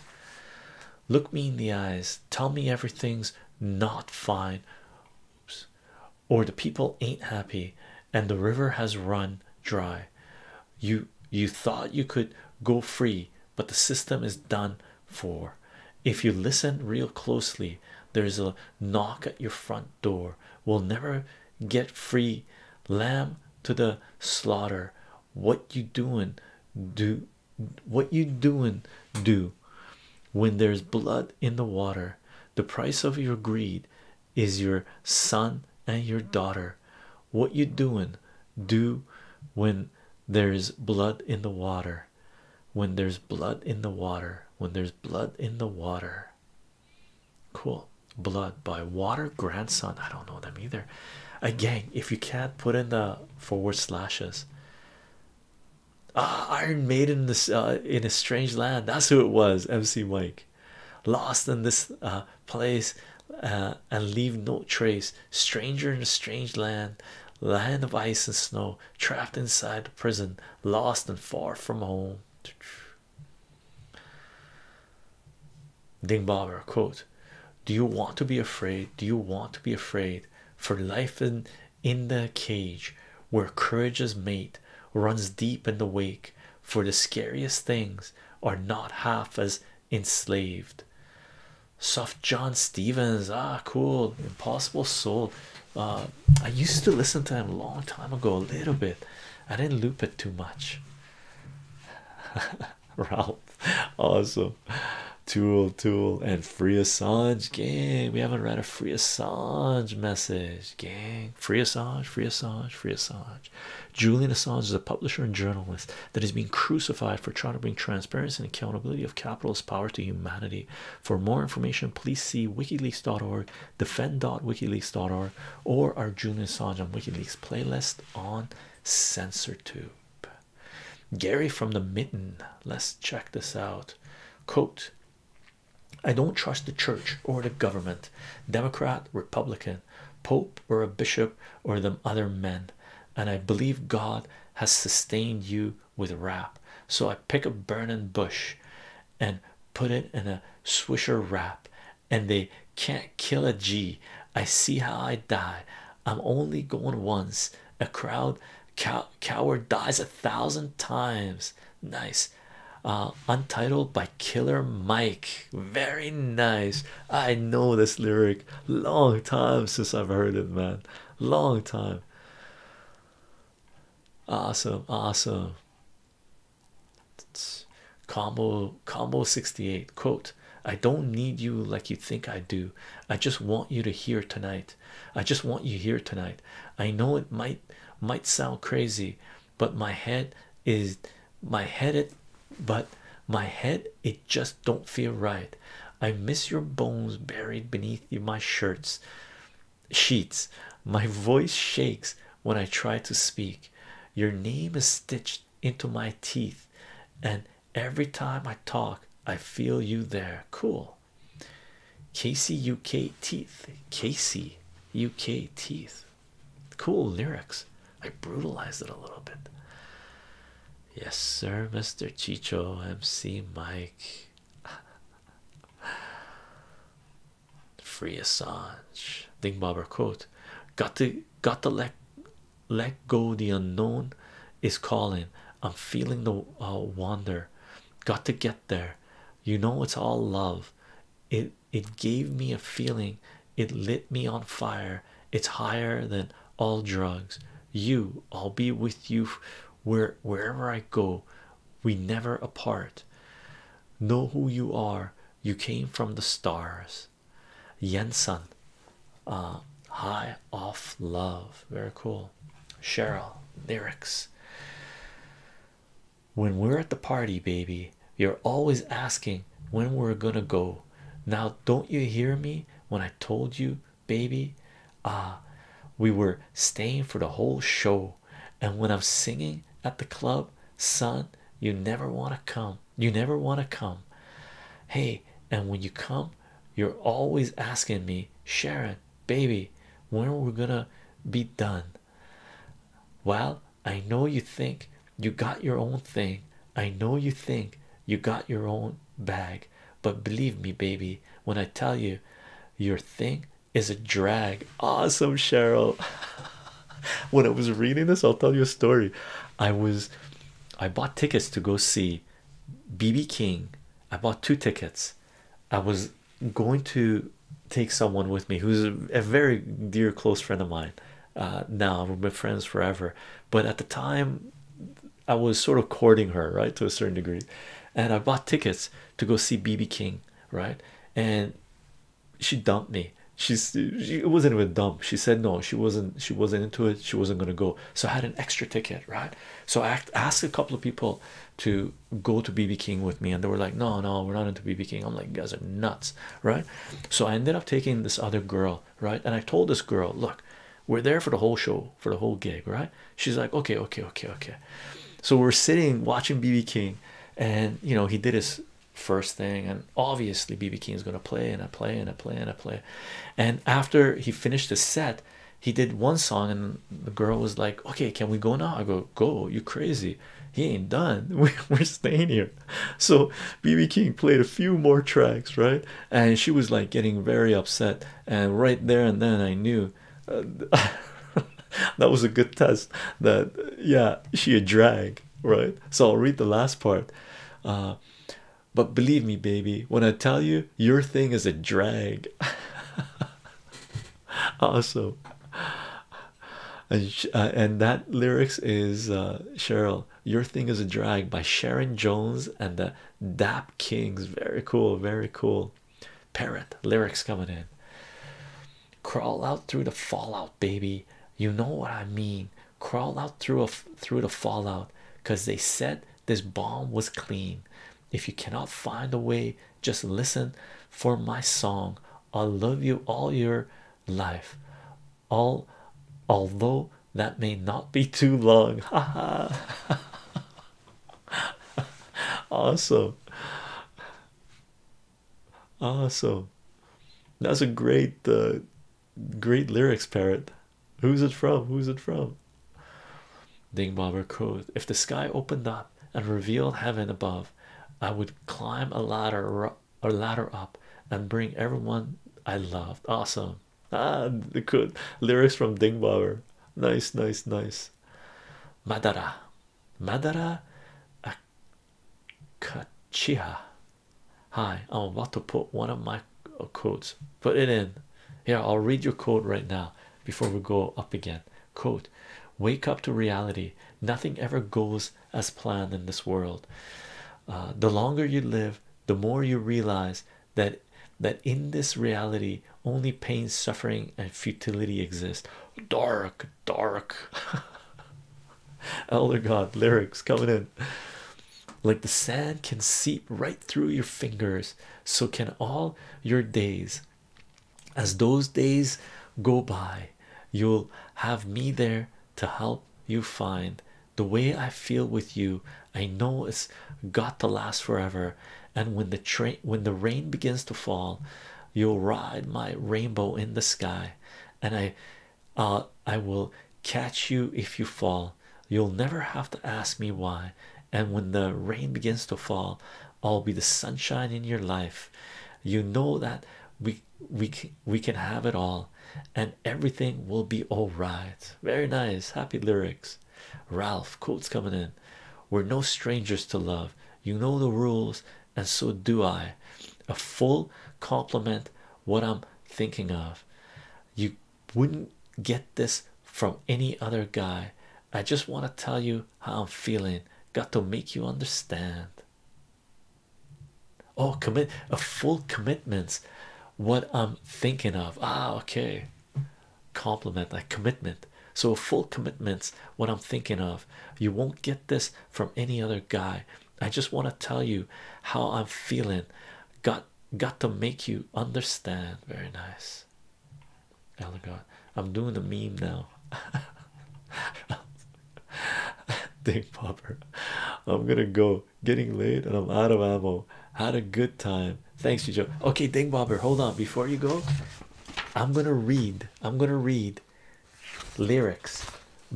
Look me in the eyes, tell me everything's not fine, or the people ain't happy, and the river has run dry. You you thought you could go free, but the system is done for. If you listen real closely, there's a knock at your front door will never get free lamb to the slaughter what you doing do what you doing do when there's blood in the water the price of your greed is your son and your daughter what you doing do when there's blood in the water when there's blood in the water when there's blood in the water Cool. Blood by Water Grandson. I don't know them either. Again, if you can't put in the forward slashes. Ah, Iron Maiden in this uh, in a strange land. That's who it was. MC Mike, lost in this uh, place uh, and leave no trace. Stranger in a strange land, land of ice and snow, trapped inside the prison, lost and far from home. Ding Bobber quote Do you want to be afraid? Do you want to be afraid for life in in the cage where courage is mate runs deep in the wake? For the scariest things are not half as enslaved. Soft John Stevens, ah, cool, impossible soul. Uh, I used to listen to him a long time ago, a little bit. I didn't loop it too much. Ralph, awesome. Tool, tool, and free Assange gang. We haven't read a free Assange message, gang. Free Assange, free Assange, free Assange. Julian Assange is a publisher and journalist that is being crucified for trying to bring transparency and accountability of capitalist power to humanity. For more information, please see wikileaks.org defend.wikileaks.org or our Julian Assange on WikiLeaks playlist on CensorTube. Gary from the Mitten, let's check this out. Quote I don't trust the church or the government, Democrat, Republican, Pope, or a bishop, or them other men, and I believe God has sustained you with wrath. So I pick a burning bush and put it in a swisher wrap, and they can't kill a G. I see how I die. I'm only going once. A crowd coward dies a thousand times. Nice. Uh, untitled by Killer Mike. Very nice. I know this lyric. Long time since I've heard it, man. Long time. Awesome, awesome combo combo 68 quote i don't need you like you think i do i just want you to hear tonight i just want you here tonight i know it might might sound crazy but my head is my head it but my head it just don't feel right i miss your bones buried beneath my shirts sheets. My voice shakes when I try to speak. Your name is stitched into my teeth, and every time I talk, I feel you there. Cool. Casey UK teeth. Casey UK teeth. Cool lyrics. I brutalized it a little bit. Yes, sir, Mr. Chicho, MC Mike. Free Assange. Ding Bobber quote. Got to got to let let go. The unknown is calling. I'm feeling the uh, wonder. Got to get there. You know it's all love. It it gave me a feeling. It lit me on fire. It's higher than all drugs. You, I'll be with you where wherever I go we never apart know who you are you came from the stars Yensan uh high off love very cool Cheryl lyrics when we're at the party baby you're always asking when we're gonna go now don't you hear me when I told you baby ah we were staying for the whole show and when I'm singing at the club, son, you never want to come. You never want to come. Hey, and when you come, you're always asking me, Sharon, baby, when we are gonna be done? Well, I know you think you got your own thing. I know you think you got your own bag, but believe me, baby, when I tell you your thing is a drag. Awesome, Cheryl. when I was reading this, I'll tell you a story. I was I bought tickets to go see BB King. I bought two tickets. I was going to take someone with me who's a very dear close friend of mine. Uh, now we've been friends forever, but at the time I was sort of courting her, right, to a certain degree. And I bought tickets to go see BB King right and she dumped me she's she, it wasn't even dump she said no she wasn't she wasn't into it she wasn't going to go so i had an extra ticket right so i asked a couple of people to go to bb king with me and they were like no no we're not into bb king i'm like you guys are nuts right so i ended up taking this other girl right and i told this girl look we're there for the whole show for the whole gig right she's like okay okay okay okay so we're sitting watching bb king and you know he did his first thing and obviously bb king is going to play and i play and i play and i play and after he finished the set he did one song and the girl was like okay can we go now i go go you crazy he ain't done we're staying here so bb king played a few more tracks right and she was like getting very upset and right there and then i knew that was a good test. That yeah, she a drag, right? So I'll read the last part. Uh, but believe me, baby, when I tell you your thing is a drag. awesome. And, uh, and that lyrics is uh, Cheryl. Your thing is a drag by Sharon Jones and the Dap Kings. Very cool, very cool parrot lyrics coming in crawl out through the fallout baby you know what i mean crawl out through a through the fallout because they said this bomb was clean if you cannot find a way just listen for my song i'll love you all your life all although that may not be too long haha awesome Awesome. That's a great uh, great lyrics parrot. Who's it from? Who's it from? Ding Bobber If the sky opened up and revealed heaven above, I would climb a ladder or ladder up and bring everyone I loved. Awesome. Ah the good lyrics from Ding Nice, nice, nice. Madara. Madara Akachiha. Hi, I'm about to put one of my quotes. Put it in. Here, I'll read your quote right now before we go up again. Quote: Wake up to reality. Nothing ever goes as planned in this world. Uh, the longer you live, the more you realize that that in this reality only pain, suffering, and futility exist dark, dark. Oh my God lyrics coming in like the sand can seep right through your fingers, so can all your days. As those days go by, you'll have me there to help you find the way I feel with you. I know it's got to last forever, and when the train when the rain begins to fall, You'll ride my rainbow in the sky, and I uh, I will catch you if you fall. You'll never have to ask me why. And when the rain begins to fall, I'll be the sunshine in your life. You know that we we we can have it all, and everything will be all right. Very nice, happy lyrics. Ralph quotes coming in. We're no strangers to love. You know the rules and so do I. A full compliment. what I'm thinking of. You wouldn't get this from any other guy. I just want to tell you how I'm feeling. Got to make you understand. Oh, commit a full commitment. What I'm thinking of. Ah, okay. Compliment like commitment so full commitments what i'm thinking of you won't get this from any other guy i just want to tell you how i'm feeling got got to make you understand very nice oh god i'm doing the meme now Ding, popper i'm gonna go getting laid, and i'm out of ammo had a good time thanks you joe okay ding bobber hold on before you go i'm gonna read i'm gonna read lyrics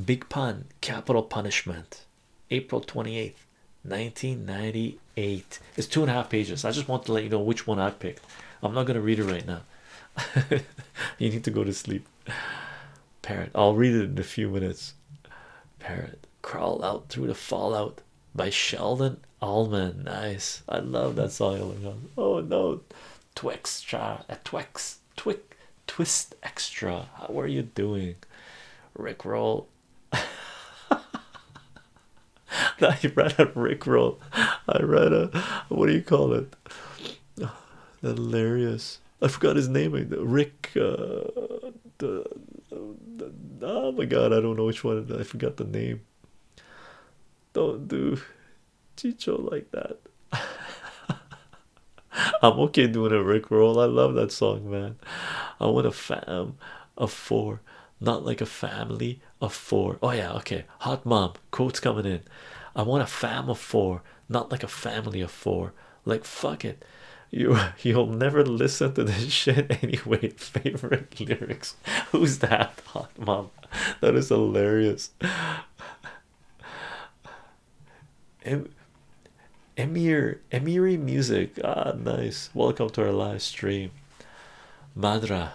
big pun capital punishment april 28th 1998 it's two and a half pages i just want to let you know which one i picked i'm not going to read it right now you need to go to sleep parent. i'll read it in a few minutes parent. crawl out through the fallout by sheldon allman nice i love that song oh no Twixtra, a Twix Twix twist extra. How are you doing? Rick roll. I read a Rick I read a what do you call it? Hilarious. I forgot his name. Rick. Uh, oh my god! I don't know which one. I forgot the name. Don't do Chicho like that. I'm okay doing a Rick roll. I love that song, man. I want a fam a four, not like a family of four. Oh, yeah, okay. Hot mom, quotes coming in. I want a fam of four, not like a family of four. Like, fuck it. You, you'll never listen to this shit anyway. Favorite lyrics. Who's that? Hot mom. That is hilarious em Emir Emiri music. Ah, nice. Welcome to our live stream. Madra.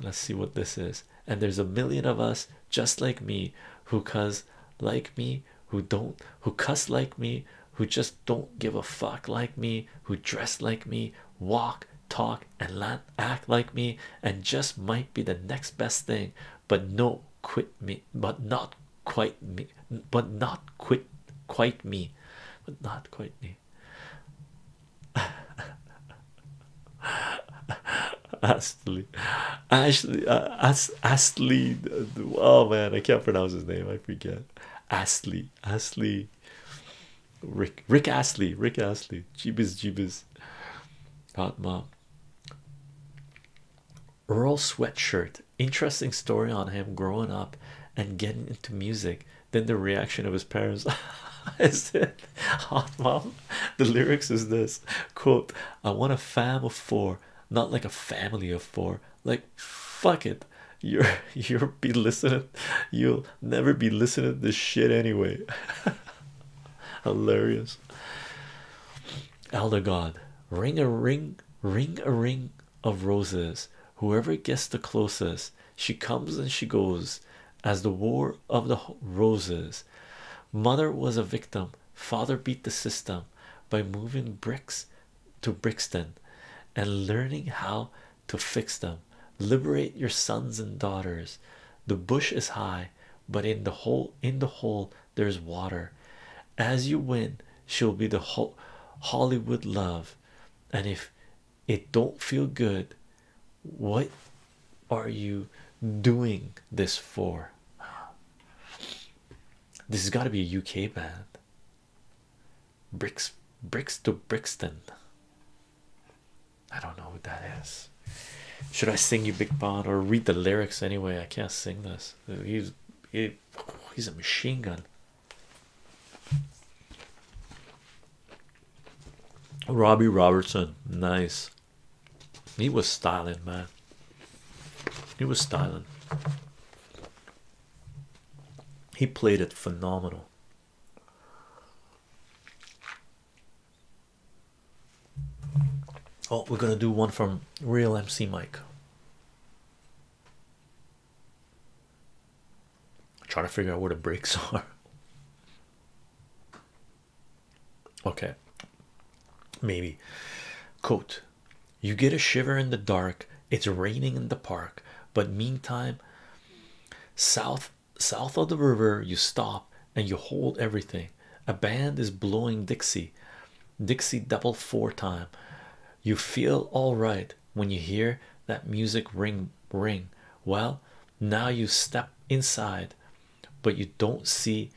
Let's see what this is. And there's a million of us just like me who cuss like me, who don't, who cuss like me, who just don't give a fuck like me, who dress like me, walk talk and act like me and just might be the next best thing but no quit me but not quite me but not quit quite me but not quite me Astley Ashley uh, As Astley oh man I can't pronounce his name I forget Astley Astley Rick Rick Astley Rick Astley Jibes, jibes hot mom earl sweatshirt interesting story on him growing up and getting into music then the reaction of his parents is it hot oh, mom the lyrics is this quote i want a fam of four not like a family of four like fuck it you're you'll be listening you'll never be listening to this shit anyway Hilarious. Elder God, ring a ring, ring a ring of roses. Whoever gets the closest, she comes and she goes. As the war of the roses, mother was a victim. Father beat the system by moving bricks to Brixton and learning how to fix them. Liberate your sons and daughters. The bush is high, but in the hole in the hole there's water as you win she'll be the hollywood love and if it don't feel good what are you doing this for this has got to be a uk band bricks bricks to brixton I don't know what that is. Should I sing you Big Pond or read the lyrics anyway? I can't sing this. He's he's a machine gun. Robbie Robertson, nice. He was styling, man. He was styling. He played it phenomenal. Oh, we're gonna do one from real MC Mike. i trying to figure out where the breaks are. Okay, maybe. "Quote: you get a shiver in the dark. It's raining in the park, but meantime, South south of the river you stop and you hold everything a band is blowing dixie dixie double four time you feel all right when you hear that music ring ring well now you step inside but you don't see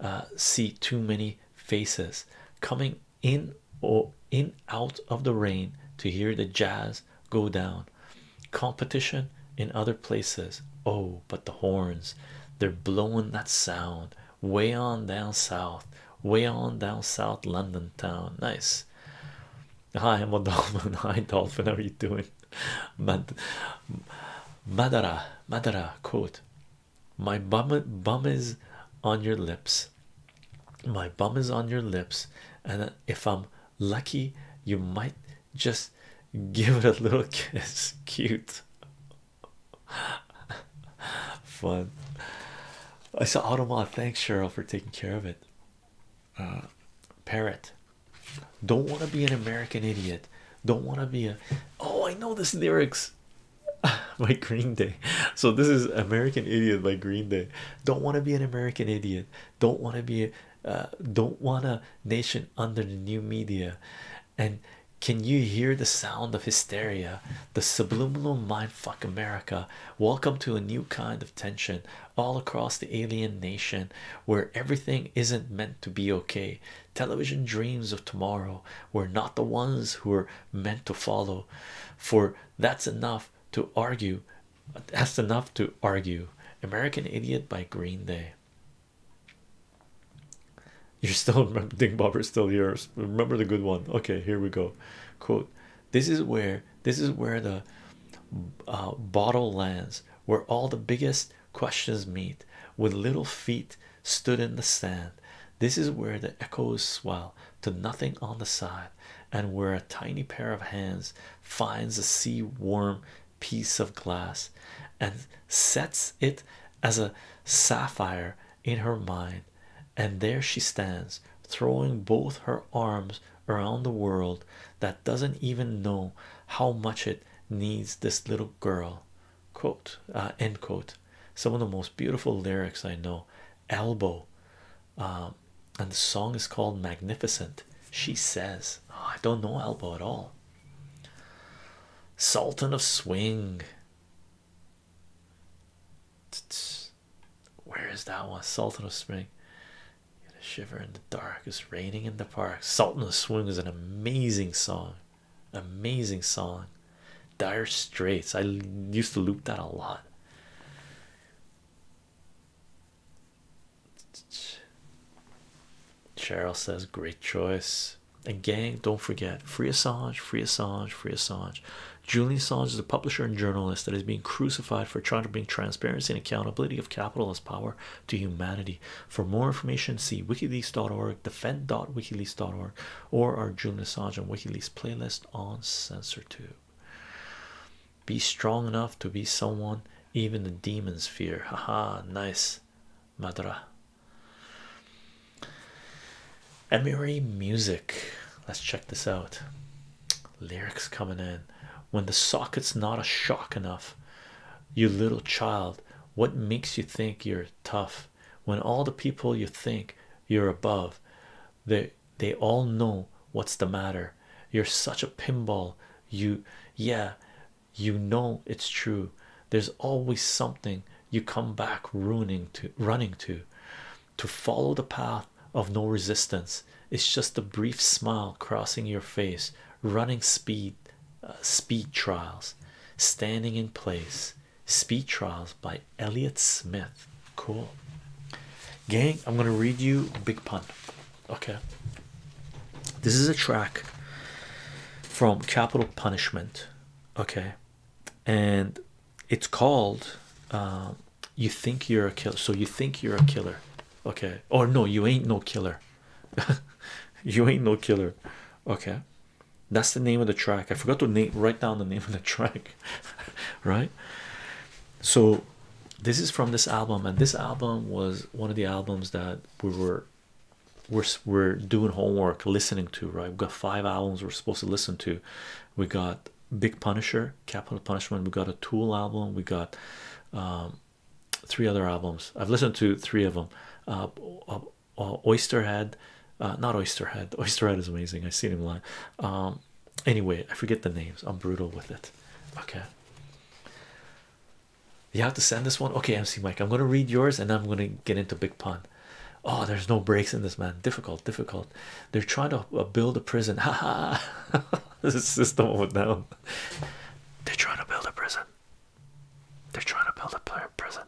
uh, see too many faces coming in or in out of the rain to hear the jazz go down competition in other places. Oh, but the horns they're blowing that sound way on down south, way on down south London town. Nice. Hi, I'm a dolphin. Hi, dolphin. How are you doing? Mad Madara, Madara, quote My bum is on your lips. My bum is on your lips, and if I'm lucky you might just give it a little kiss cute fun i saw automat thanks cheryl for taking care of it uh parrot don't want to be an american idiot don't want to be a oh i know this lyrics by green day so this is american idiot by green day don't want to be an american idiot don't want to be uh, don't want a nation under the new media and can you hear the sound of hysteria the subliminal mind fuck america welcome to a new kind of tension all across the alien nation where everything isn't meant to be okay television dreams of tomorrow were not the ones who were meant to follow for that's enough to argue that's enough to argue american idiot by green day you're still remember Dingbobber's still yours. Remember the good one. Okay, here we go. Quote This is where this is where the uh, bottle lands, where all the biggest questions meet, with little feet stood in the sand. This is where the echoes swell to nothing on the side, and where a tiny pair of hands finds a sea worm piece of glass and sets it as a sapphire in her mind, and there she stands, throwing both her arms around the world that doesn't even know how much it needs this little girl. Uh, end quote. Some of the most beautiful lyrics I know. Elbow, um, and the song is called Magnificent. She says, oh, I don't know Elbow at all. Sultan of Swing. Where is that one? Sultan of Swing. Get a shiver in the dark. It's raining in the park. Sultan of Swing is an amazing song. Amazing song. Dire Straits. I used to loop that a lot. Cheryl says, Great choice. And gang, don't forget free Assange, free Assange, free Assange. Julian Assange is a publisher and journalist that is being crucified for trying to bring transparency and accountability of capitalist power to humanity. For more information, see wikileaks.org, defend.wikileaks.org, or our Julian Assange on Wikileaks playlist on CensorTube. Be strong enough to be someone even the demons fear. Ha ha! nice. Madra. Emery Music. Let's check this out. Lyrics coming in. When the socket's not a shock enough, you little child, what makes you think you're tough? When all the people you think you're above, they they all know what's the matter. You're such a pinball. You yeah, you know it's true there's always something you come back ruining to running to to follow the path of no resistance it's just a brief smile crossing your face running speed uh, speed trials standing in place speed trials by elliot smith cool gang i'm going to read you a big pun Okay, this is a track from Capital Punishment. Okay, and it's called um, You Think You're a Killer. So, you think you're a killer. Okay, or no, you ain't no killer. you ain't no killer. Okay, that's the name of the track. I forgot to name write down the name of the track, right? So, this is from this album, and this album was one of the albums that we were we're we're doing homework listening to right we've got five albums we're supposed to listen to we got big punisher capital punishment we got a tool album we got um, three other albums i've listened to three of them uh, uh, uh, oysterhead not oysterhead oysterhead is amazing i've seen him a lot. Um, anyway i forget the names i'm brutal with it okay you have to send this one. Okay, MC Mike. I'm gonna read yours and I'm gonna get into Big Pun. Oh, there's no breaks in this man. Difficult, difficult. They're trying to uh, build a prison. Haha. this system went down. They're trying to build a prison. They're trying to build a prison.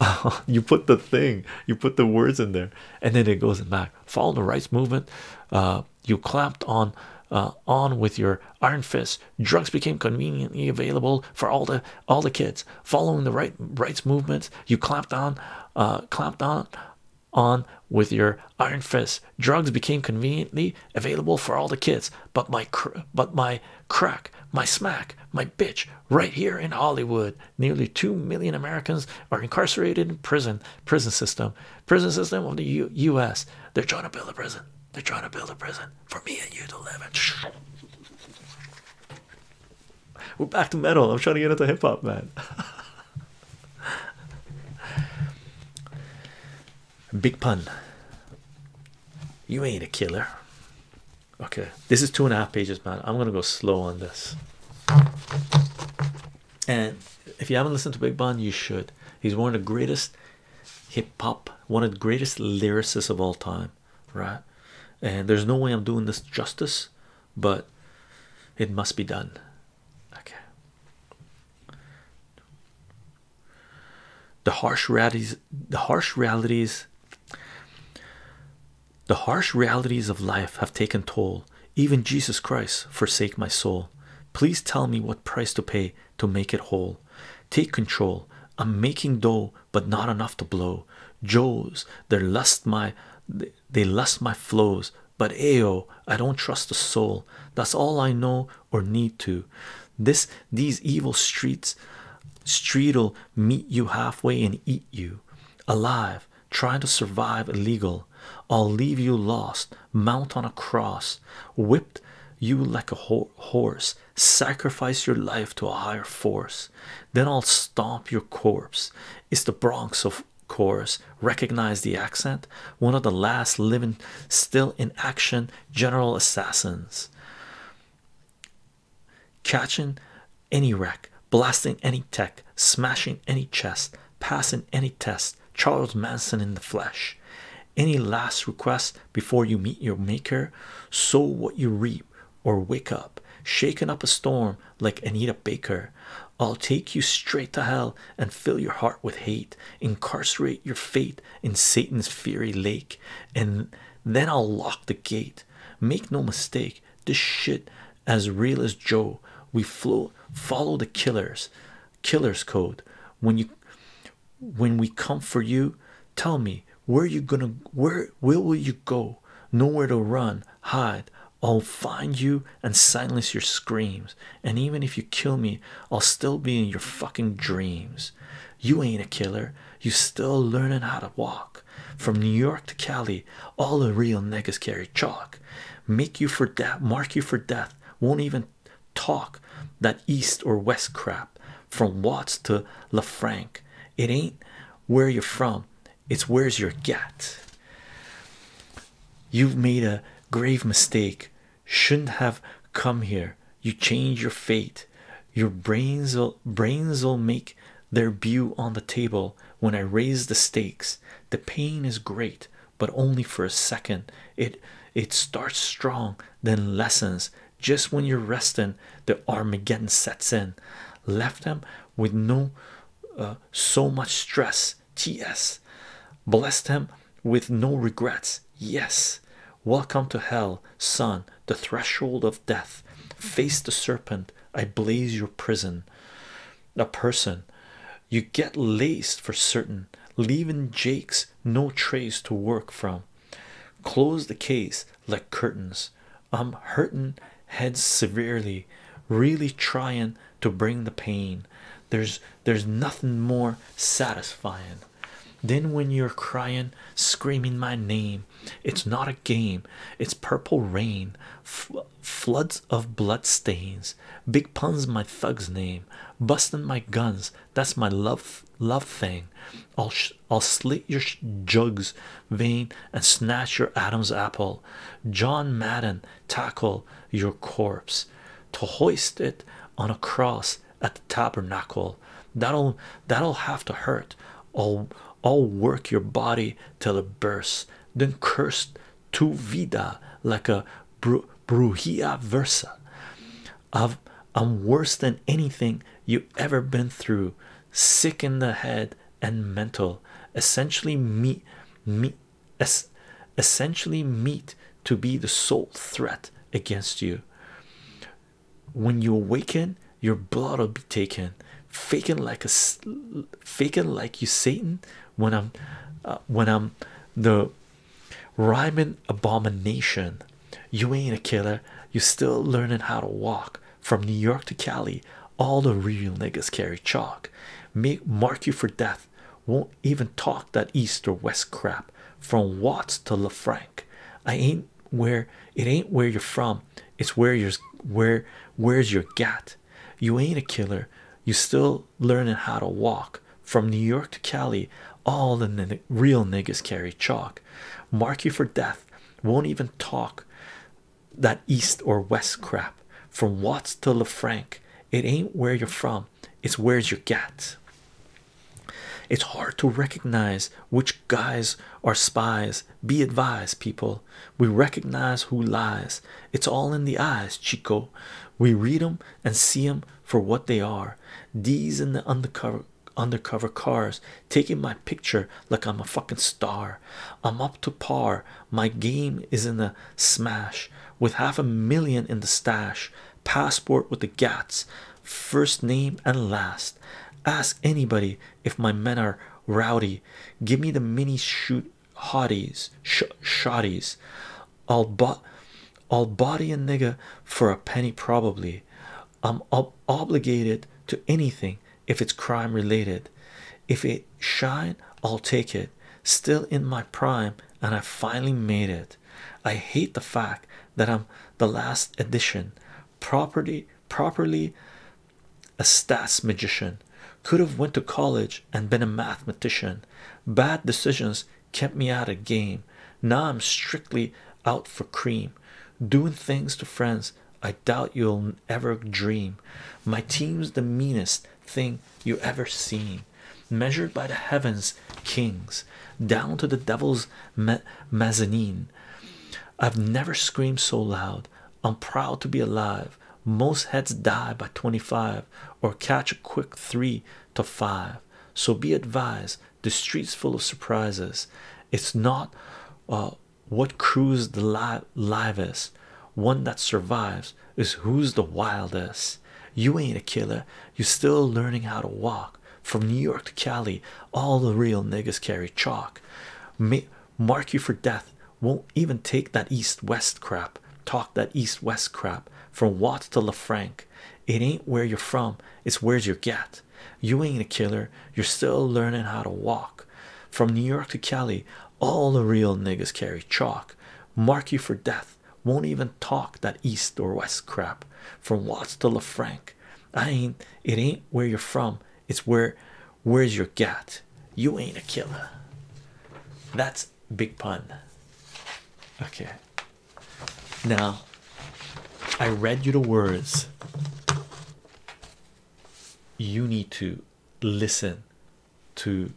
you put the thing, you put the words in there, and then it goes back. Following the rights movement uh, you clamped on uh, on with your iron fists. drugs became conveniently available for all the all the kids following the right rights movement, you clamped on uh, clamped on on with your iron fists. drugs became conveniently available for all the kids but my but my crack my smack my bitch right here in hollywood nearly 2 million Americans are incarcerated in prison, prison system, prison system of the U.S. They're trying to build a prison. They're trying to build a prison for me and you to live in. We're back to metal. I'm trying to get into hip hop, man. Big pun. You ain't a killer. Okay, this is two and a half pages, man. I'm gonna go slow on this and if you haven't listened to Big Bun, you should. He's one of the greatest hip hop, one of the greatest lyricists of all time, right? And there's no way I'm doing this justice, but it must be done. Okay. The harsh realities, the harsh realities the harsh realities of life have taken toll. Even Jesus Christ forsake my soul. Please tell me what price to pay to make it whole. Take control. I'm making dough, but not enough to blow. Joes, they lust my they lust my flows, but Ayo, I don't trust a soul. That's all I know or need to. This these evil streets street'll meet you halfway and eat you alive Try to survive illegal. I'll leave you lost, mount on a cross, whipped you like a horse, sacrifice your life to a higher force. Then I'll stomp your corpse. It's the Bronx, of course. Recognize the accent? One of the last living, still in action, general assassins. Catching any wreck blasting any tech, smashing any chest, passing any test. Charles Manson in the flesh. Any last request before you meet your maker? Sow what you reap, or wake up, shaking up a storm like Anita Baker. I'll take you straight to hell and fill your heart with hate, incarcerate your fate in Satan's fiery lake, and then I'll lock the gate. Make no mistake, this shit as real as Joe. We flow follow the killers, killers code. When you when we come for you, tell me where you gonna where where will you go? Nowhere to run, hide. I'll find you and silence your screams. And even if you kill me, I'll still be in your fucking dreams. You ain't a killer. You still learning how to walk. From New York to Cali, all a real niggas carry chalk. Make you for death, mark you for death. Won't even talk that east or west crap. From Watts to LaFranc, it ain't where you're from. It's where's your get. You've made a grave mistake. Shouldn't have come here. You change your fate. Your brains will brains will make their view on the table when I raise the stakes the pain is great but only for a second it it starts strong then lessens just when you're resting the arm again sets in left them with no uh, so much stress ts bless them with no regrets yes welcome to hell son the threshold of death face the serpent i blaze your prison a person you get laced for certain, leavin Jake's no trace to work from. Close the case like curtains. I'm hurtin' heads severely, really tryin' to bring the pain. There's there's nothing more satisfying than when you're cryin', screaming my name. It's not a game. It's purple rain, floods of bloodstains, Big pun's my thug's name. Bustin' my guns. That's my love love thing. I'll I'll slit your jugs vein and snatch your Adam's apple. John Madden tackle your corpse to hoist it on a cross at the tabernacle. That'll that'll have to hurt. I'll I'll work your body till it bursts. Then curse to vida like a bru versa. I've, am worse than anything you ever been through, sick in the head and mental, essentially meat, meat, es essentially meat to be the sole threat against you. When you awaken, your blood will be taken, faking like a faking like you Satan when I'm uh, when I'm the rhyming abomination. You ain't a killer. You still learning how to walk from New York to Cali. All the real niggas carry chalk. Make mark you for death. Won't even talk that east or west crap. From Watts to LaFranc, I ain't where it ain't where you're from. It's where you're where where's your gat. You ain't a killer you still learning how to walk from New York to Cali. All the real niggas carry chalk. Mark you for death. Won't even talk that east or west crap. From Watts to LeFranc, it ain't where you're from. It's where's your gat. It's hard to recognize which guys are spies. Be advised, people. We recognize who lies. It's all in the eyes, Chico. We read them and see them for what they are. These in the undercover undercover cars taking my picture like I'm a fucking star. I'm up to par. My game is in the smash with half a million in the stash. Passport with the gats, first name and last. Ask anybody if my men are rowdy. Give me the mini shoot hotties, sh shotties. I'll bot I'll body a nigger for a penny probably. I'm ob obligated to anything if it's crime related. If it shine, I'll take it. Still in my prime, and I finally made it. I hate the fact that I'm the last edition. Property properly a stats magician could have went to college and been a mathematician bad decisions kept me out of game now i'm strictly out for cream doing things to friends i doubt you'll ever dream my team's the meanest thing you ever seen measured by the heavens kings down to the devil's ma mezzanine i've never screamed so loud i'm proud to be alive most heads die by 25 or catch a quick three to five so be advised the streets full of surprises it's not uh, what crews the live is one that survives is who's the wildest you ain't a killer you're still learning how to walk from new york to cali all the real niggers carry chalk mark you for death won't even take that east-west crap talk that east-west crap from Watts to LaFranc it ain't where you're from it's where's your gat? you ain't a killer you're still learning how to walk from New York to Cali all the real niggas carry chalk mark you for death won't even talk that east or west crap from Watts to LaFranc I ain't it ain't where you're from it's where where's your gat you ain't a killer that's big pun. Okay. Now, I read you the words. You need to listen to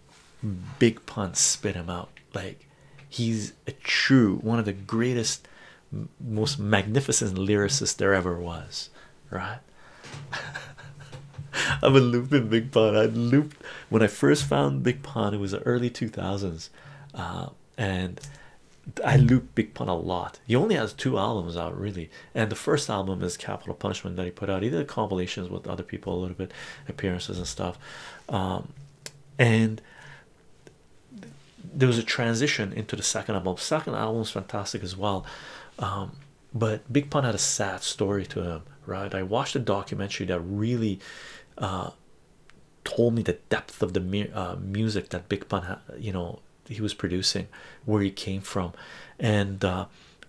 big pun spit him out. Like he's a true one of the greatest, most magnificent lyricists there ever was, right? i am a loopin' Big Pun. I looped when I first found Big Pun, it was the early 2000s, uh, and I looped Big Pun a lot. He only has two albums out, really. And the first album is Capital Punishment that he put out. He did compilations with other people a little bit, appearances and stuff. Um, and there was a transition into the second album. Second album is fantastic as well. Um, but Big Pun had a sad story to him, right? I watched a documentary that really uh, told me the depth of the uh, music that Big Pun, had. you know, he was producing, where he came from, and uh,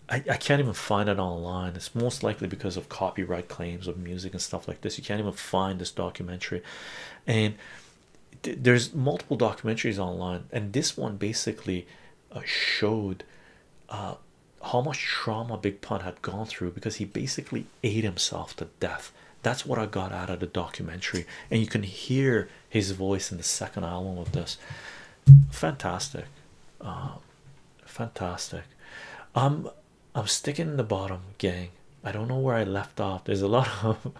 I, can't even find it online. It's most likely because of copyright claims of music and stuff like this. You can't even find this documentary, and there's multiple documentaries online, and this one basically showed how much trauma Big Pun had gone through because he basically ate himself to death. That's what I got out of the documentary, and you can hear his voice in the second album of this. Fantastic, uh, fantastic. I'm um, I'm sticking in the bottom, gang. I don't know where I left off. There's a lot of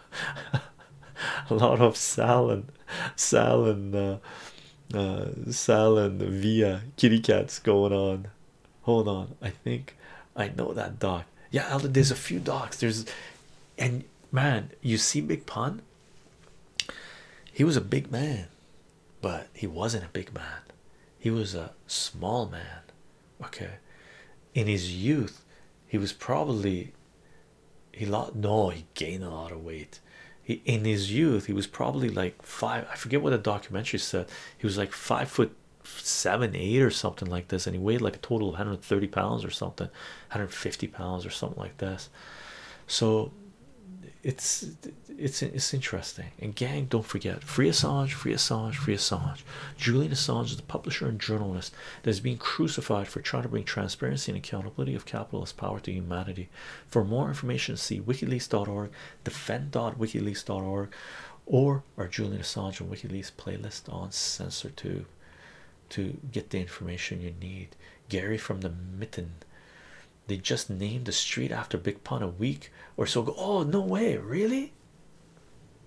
a lot of Sal and Sal and uh, uh, Sal and Via kitty cats going on. Hold on, I think I know that dog. Yeah, there's a few dogs. There's and man, you see Big Pun. He was a big man, but he wasn't a big man. He was a small man. Okay, in his youth, he was probably he lot no he gained a lot of weight in his youth he was probably like five i forget what the documentary said he was like five foot seven eight or something like this and he weighed like a total of 130 pounds or something 150 pounds or something like this so it's it's it's interesting and gang don't forget free assange free assange free assange julian assange is the publisher and journalist that is being crucified for trying to bring transparency and accountability of capitalist power to humanity for more information, see wikileaks.org, defend.wikileaks.org, or our Julian Assange and WikiLeaks playlist on CensorTube to get the information you need. Gary from the Mitten, they just named the street after Big Pun a week or so ago. Oh, no way, really?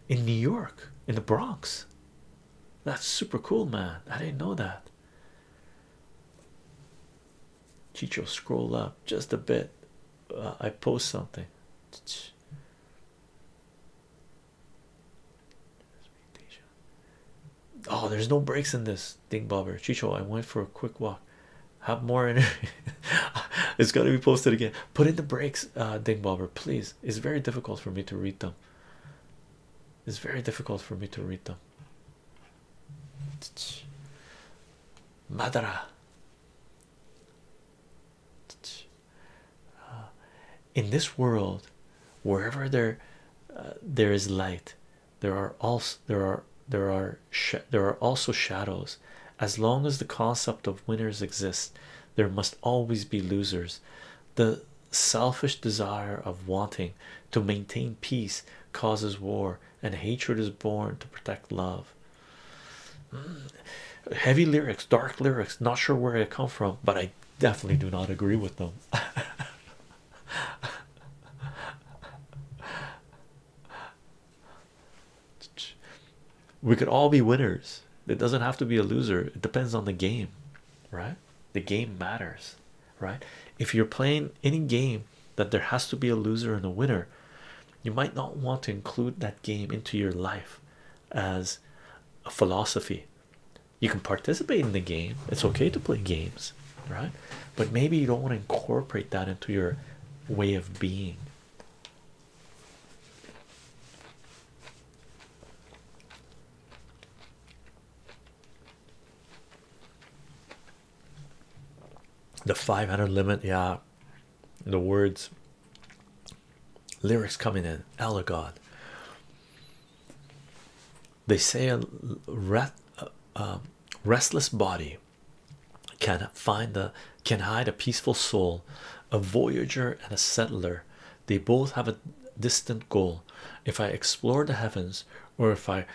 In New York, in the Bronx. That's super cool, man. I didn't know that. Chicho, scroll up just a bit. Uh, I post something. Oh, there's no breaks in this thing, bobber. Chicho, I went for a quick walk. Have more energy. It's going to be posted again. Put in the breaks, uh, Ding Bobber, please. It's very difficult for me to read them. It's very difficult for me to read them. Madara. Uh, in this world, wherever there uh, there is light, there are also there are there are there are also shadows. As long as the concept of winners exists, there must always be losers. The selfish desire of wanting to maintain peace causes war and hatred is born to protect love. Mm. Heavy lyrics, dark lyrics, not sure where I come from, but I definitely do not agree with them. we could all be winners, it doesn't have to be a loser, it depends on the game, right? The game matters right? If you're playing any game that there has to be a loser and a winner, you might not want to include that game into your life as a philosophy. You can participate in the game, it's okay to play games, right? But maybe you don't want to incorporate that into your way of being the 500 limit yeah the words lyrics coming in Allah they say a uh, um, restless body can find a can hide a peaceful soul a voyager and a settler they both have a distant goal if I explore the heavens or if I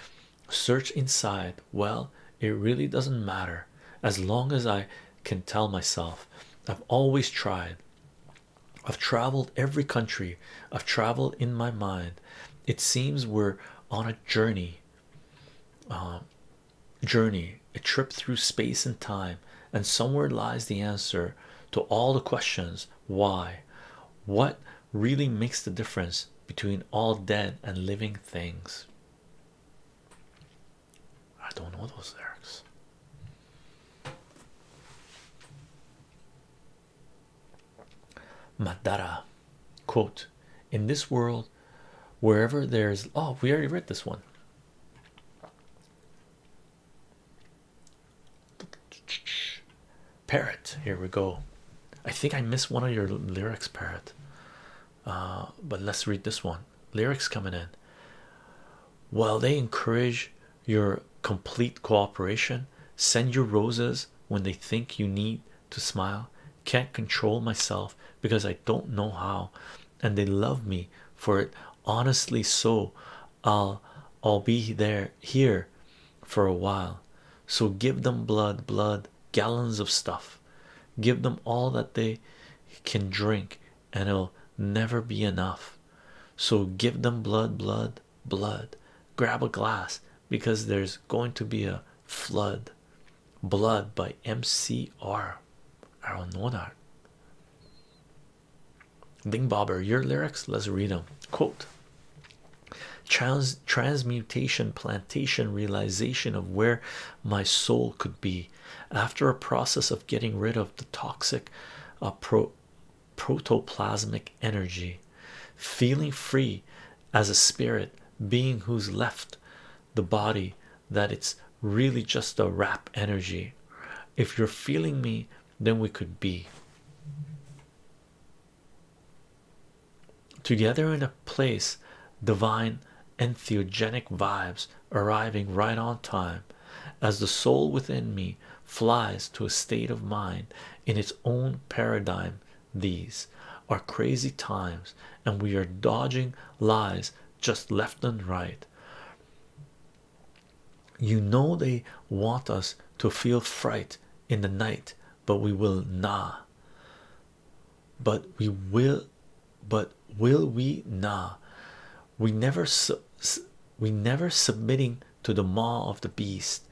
Search inside. Well, it really doesn't matter as long as I can tell myself. I've always tried. I've traveled every country. I've traveled in my mind. It seems we're on a journey. Um, journey, a trip through space and time, and somewhere lies the answer to all the questions why, what really makes the difference between all dead and living things. I don't know those lyrics. Madara quote in this world wherever there's oh we already read this one parrot here we go I think I missed one of your lyrics, Parrot. Uh, but let's read this one. Lyrics coming in. Well, they encourage your complete cooperation, send your roses when they think you need to smile. Can't control myself because I don't know how, and they love me for it. Honestly, so I'll I'll be there here for a while. So give them blood, blood, gallons of stuff, give them all that they can drink, and it'll never be enough. So give them blood, blood, blood, grab a glass because there's going to be a flood. Blood by MCR. I don't know that. Ding Bobber, your lyrics, let's read them. Quote transmutation, plantation, realization of where my soul could be after a process of getting rid of the toxic uh, protoplasmic energy, feeling free as a spirit being who's left the body that it's really just a wrap energy. If you're feeling me, then we could be. Together in a place, divine entheogenic vibes arriving right on time as the soul within me flies to a state of mind in its own paradigm. These are crazy times, and we are dodging lies just left and right. You know, they want us to feel fright in the night, but we will nah but we will but will we nah we never we never submitting to the maw of the beast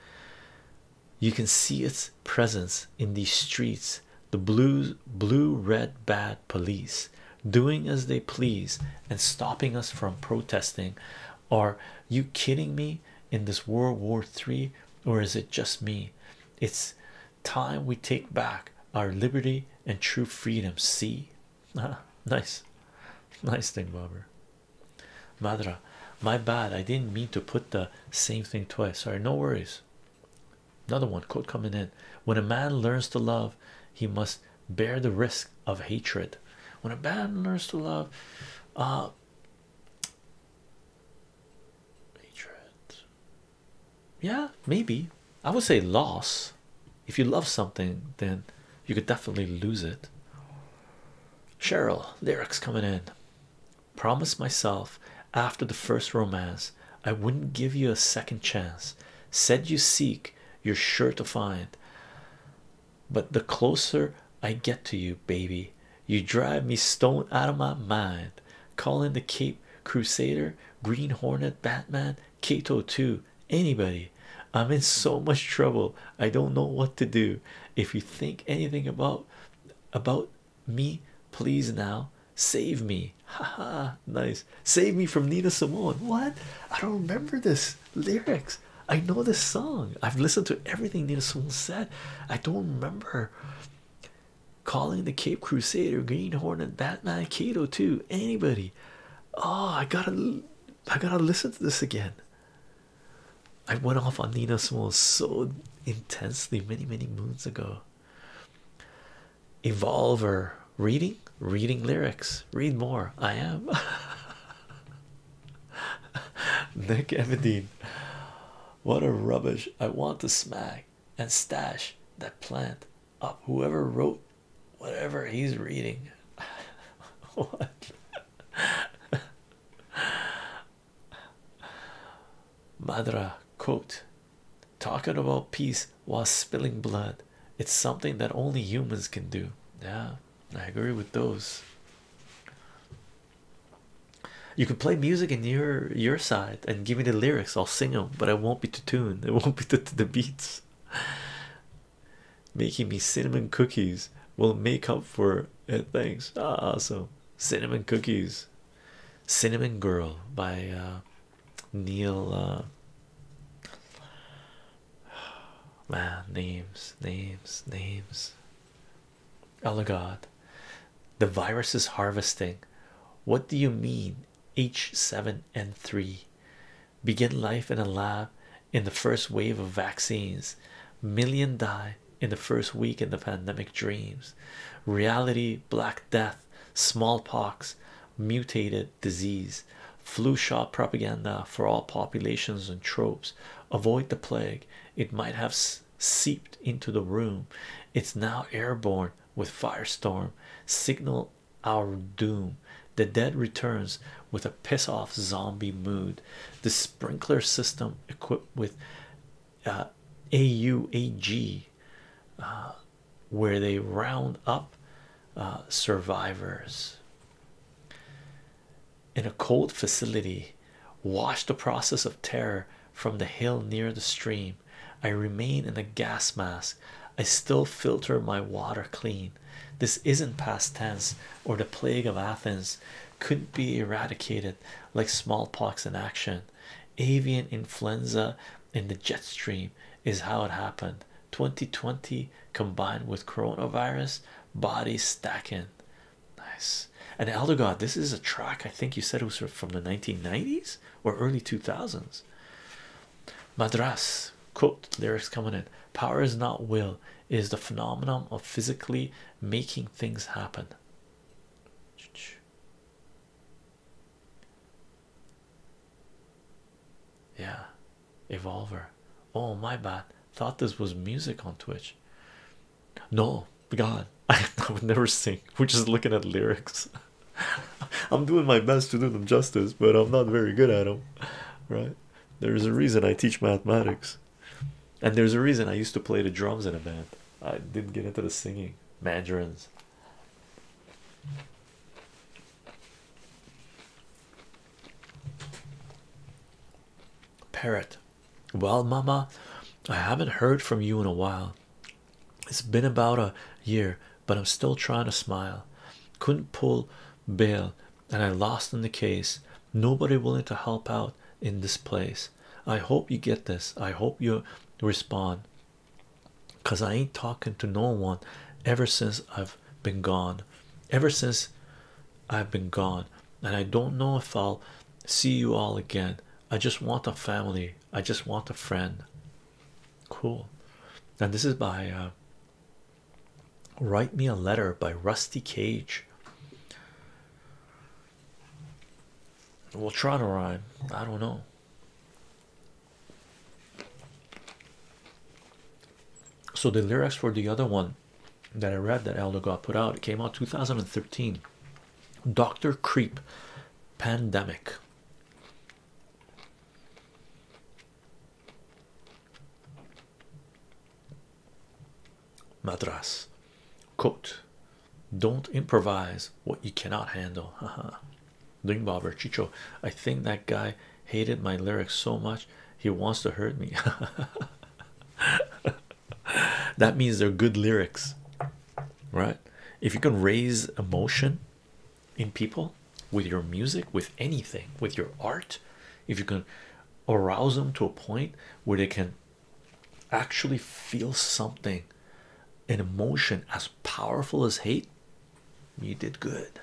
you can see its presence in these streets the blue, blue red bad police doing as they please and stopping us from protesting are you kidding me in this world war three or is it just me it's time we take back our liberty and true freedom. See, ah, nice, nice thing, Bobber. Madra, my bad. I didn't mean to put the same thing twice. Sorry, no worries. Another one quote coming in when a man learns to love, he must bear the risk of hatred. When a man learns to love, uh, hatred yeah maybe i would say loss if you love something then you could definitely lose it cheryl lyrics coming in promise myself after the first romance i wouldn't give you a second chance said you seek you're sure to find but the closer i get to you baby you drive me stone out of my mind. Calling the Cape Crusader, Green Hornet, Batman, Kato too. anybody. I'm in so much trouble. I don't know what to do. If you think anything about about me, please now save me. Ha ha! nice. Save me from Nina Simone. What? I don't remember this lyrics. I know this song. I've listened to everything Nina Simone said. I don't remember calling the Cape Crusader, Green Hornet, Batman, Kato too. Anybody? Oh, I gotta, I gotta listen to this again. I went off on Nina Small so intensely many, many moons ago. Evolver reading, reading lyrics, read more. I am Nick Everdeen. What a rubbish! I want to smack and stash that plant up. Whoever wrote whatever he's reading. what? Madra quote talking about peace while spilling blood. It's something that only humans can do. Yeah, I agree with those. You can play music in your your side and give me the lyrics. I'll sing them, but I won't be to tune. It won't be to, the beats. Making me cinnamon cookies will make up for it. Thanks. awesome. Cinnamon cookies. Cinnamon Girl by uh, Neil. Uh, man, names, names, names. Elagod, the virus is harvesting. What do you mean? H7N3 begin life in a lab in the first wave of vaccines. Million die in the first week in the pandemic dreams. Reality, black death, smallpox, mutated disease, flu shot propaganda for all populations and tropes. Avoid the plague, it might have seeped into the room. It's now airborne with firestorm. Signal our doom. The dead returns with a piss off zombie mood. The sprinkler system equipped with uh, AUAG, uh, where they round up uh, survivors. In a cold facility, Watch the process of terror from the hill near the stream. I remain in a gas mask. I still filter my water clean. This isn't past tense or the plague of Athens couldn't be eradicated like smallpox in action. Avian influenza in the jet stream is how it happened. 2020 combined with coronavirus body stacking. Nice and elder god this is a track i think you said it was from the 1990s or early 2000s madras quote lyrics coming in power is not will it is the phenomenon of physically making things happen yeah evolver oh my bad thought this was music on twitch no, God, I, would never sing. We're just looking at lyrics. I'm doing my best to do them justice, but I'm not very good at them, right? There's a reason I teach mathematics, and there's a reason I used to play the drums in a band. I didn't get into the singing, mandarins. Parrot, well, Mama, I haven't heard from you in a while. It's been about a year, but I'm still trying to smile. Couldn't pull bail, and I lost in the case. Nobody willing to help out in this place. I hope you get this. I hope you respond because I ain't talking to no one ever since I've been gone. Ever since I've been gone, and I don't know if I'll see you all again. I just want a family i just want a friend cool Now this is by uh, write me a letter by rusty cage we'll try to rhyme i don't know so the lyrics for the other one that i read that elder got put out it came out 2013 Dr. Creep Pandemic. Madras quote don't improvise what you cannot handle. Haha. Ling Bobber Chicho, I think that guy hated my lyrics so much he wants to hurt me. that means they're good lyrics, right? If you can raise emotion in people with your music, with anything, with your art, if you can arouse them to a point where they can actually feel something, an emotion as powerful as hate, you did good.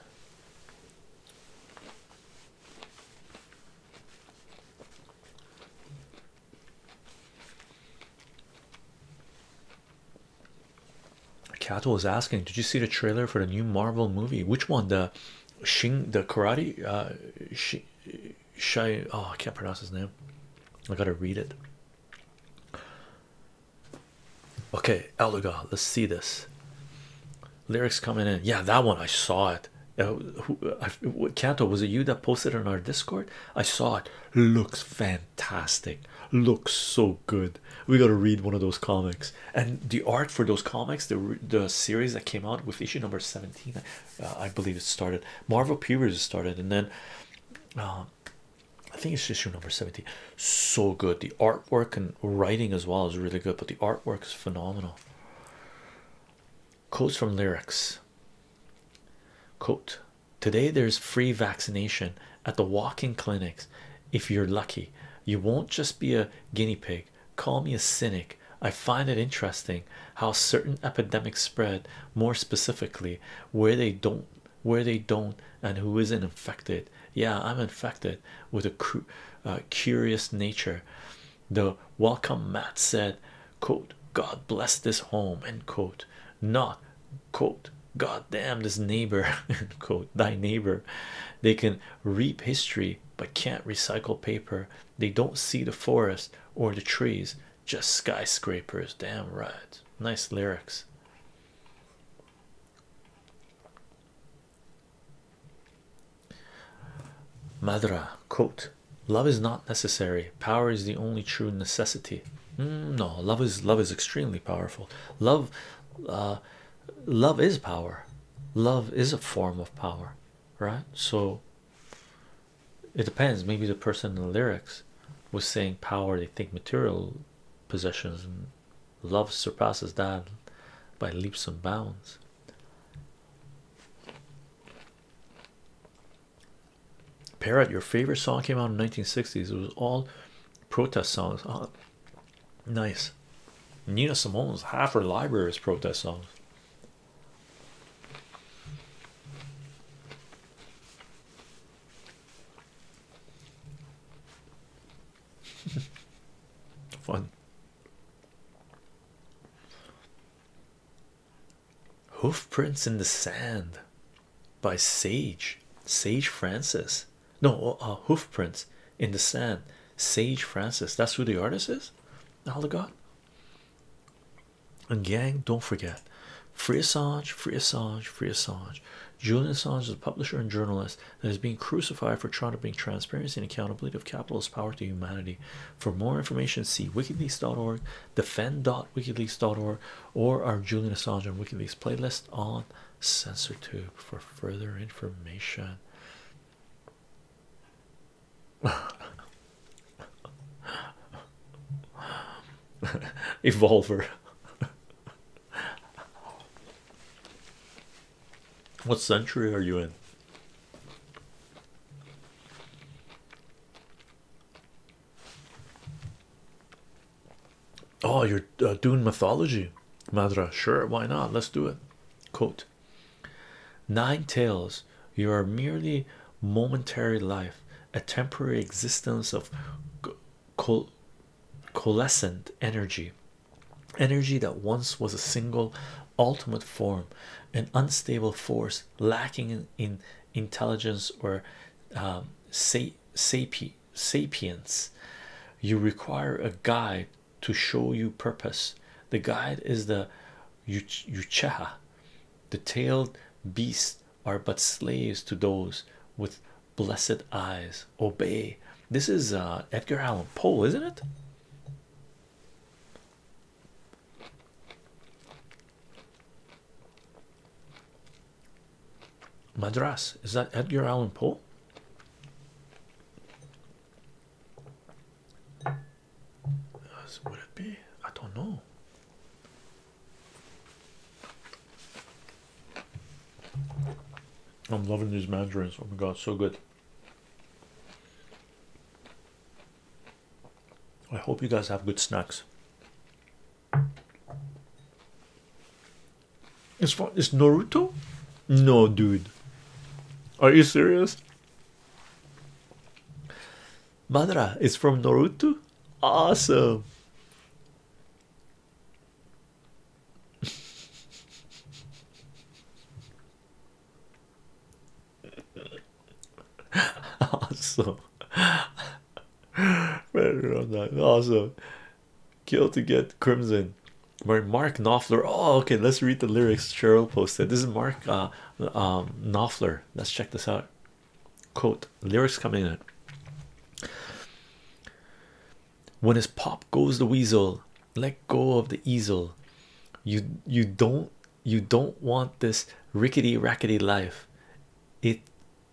Kato was asking, did you see the trailer for the new Marvel movie? Which one? The Shing the karate uh oh I can't pronounce his name. I gotta read it. Okay, Eluga, let's see this. Lyrics coming in. Yeah, that one I saw it. Uh, was it you that posted on our Discord? I saw it looks fantastic looks so good we got to read one of those comics and the art for those comics the the series that came out with issue number 17 uh, i believe it started marvel periods started and then uh, i think it's issue number 17 so good the artwork and writing as well is really good but the artwork is phenomenal quotes from lyrics quote Today there's free vaccination at the walk-in clinics. If you're lucky, you won't just be a guinea pig. Call me a cynic. I find it interesting how certain epidemics spread, more specifically where they don't, where they don't, and who isn't infected. Yeah, I'm infected with a uh, curious nature. The welcome mat said quote god bless this home end quote not quote god damn this neighbor end quote thy neighbor they can reap history but can't recycle paper they don't see the forest or the trees just skyscrapers damn right nice lyrics Madra quote love is not necessary power is the only true necessity mm, no love is love is extremely powerful love uh, love is power love is a form of power right so it depends maybe the person in the lyrics was saying power they think material possessions and love surpasses that by leaps and bounds Parrot, your favorite song came out in 1960s. It was all protest songs. Oh, nice. Nina Simone's half her library is protest songs. Fun. Hoofprints in the Sand by Sage Sage Francis. No, uh, uh Hoofprints in the Sand, Sage Francis. That's who the artist is. All the God and gang, don't forget Free Assange, Free Assange, Free Assange. Julian Assange is a publisher and journalist that is being crucified for trying to bring transparency and accountability of capitalist power to humanity. For more information, see wikileaks.org defend.wikileaks.org or our Julian Assange and WikiLeaks playlist on CensorTube for further information. Evolver. what century are you in? Oh, you're uh, doing mythology, Madra. Sure, why not? Let's do it. Quote Nine tales. you are merely momentary life, a temporary existence of coalescent energy, energy that once was a single, ultimate form, an unstable force lacking in intelligence or um, sapience you require a guide to show you purpose the guide is the ucheha the tailed beasts are but slaves to those with blessed eyes obey this is uh, Edgar Allan Poe isn't it Madras is that Edgar Allan Poe? As would it be? I don't know. I'm loving these mandarins. Oh my god, so good. I hope you guys have good snacks. It's fun. It's Naruto? No, dude. Are you serious? Madra. is from Naruto. Awesome. awesome. awesome. Kill to get crimson. Where Mark Knopfler. Oh, okay. Let's read the lyrics. Cheryl posted. This is Mark uh, um, Knopfler. Let's check this out. Quote lyrics coming in. When his pop goes the weasel, let go of the easel. You you don't you don't want this rickety rackety life. It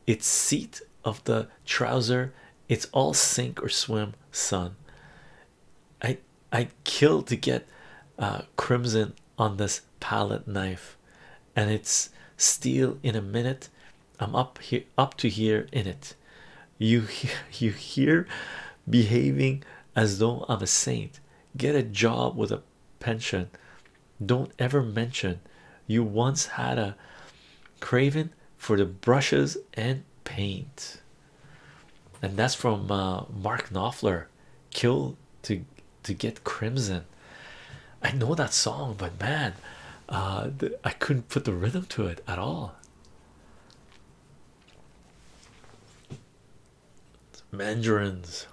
its seat of the trouser it's all sink or swim son i i kill to get uh crimson on this palette knife and it's steel in a minute i'm up here up to here in it you you here behaving as though i'm a saint get a job with a pension. Don't ever mention you once had a craving for the brushes and paint. And that's from uh, Mark Knopfler. Kill to to get crimson. I know that song, but man, uh, I couldn't put the rhythm to it at all. Mandarins.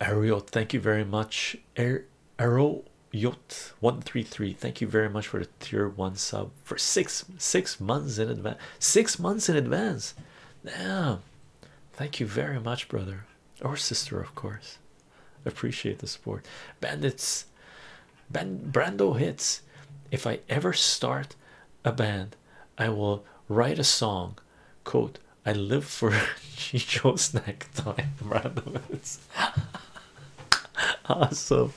Ariel, thank you very much. Arrow er, 133, thank you very much for the tier one sub for six six months in advance. Six months in advance. Damn. Thank you very much, brother. Or sister, of course. Appreciate the support. Bandits Ben Brando hits. If I ever start a band, I will write a song Quote, I live for Chicho snack time Rather, it's awesome.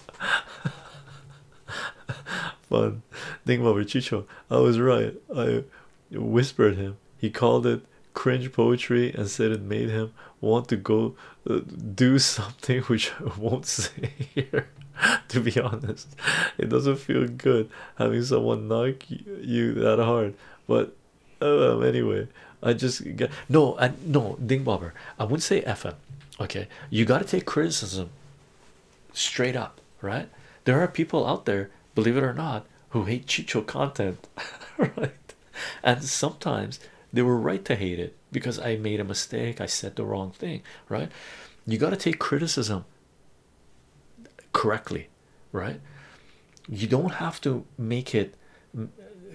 Fun. Think about it, Chicho. I was right. I whispered him. He called it cringe poetry and said it made him want to go uh, do something which I won't say here. to be honest, it doesn't feel good having someone knock you that hard, but oh, anyway, I just got, no, no, Ding Bobber, I wouldn't say FM. Okay, you got to take criticism straight up, right? There are people out there, believe it or not, who hate Chicho content, right? And sometimes they were right to hate it because I made a mistake, I said the wrong thing, right? You got to take criticism correctly right you don't have to make it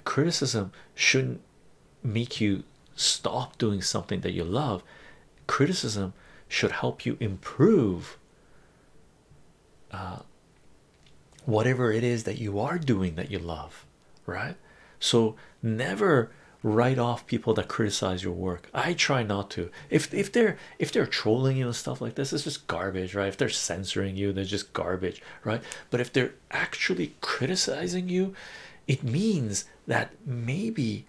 criticism shouldn't make you stop doing something that you love criticism should help you improve uh, whatever it is that you are doing that you love right so never write off people that criticize your work i try not to if if they're if they're trolling you and stuff like this it's just garbage right if they're censoring you they're just garbage right but if they're actually criticizing you it means that maybe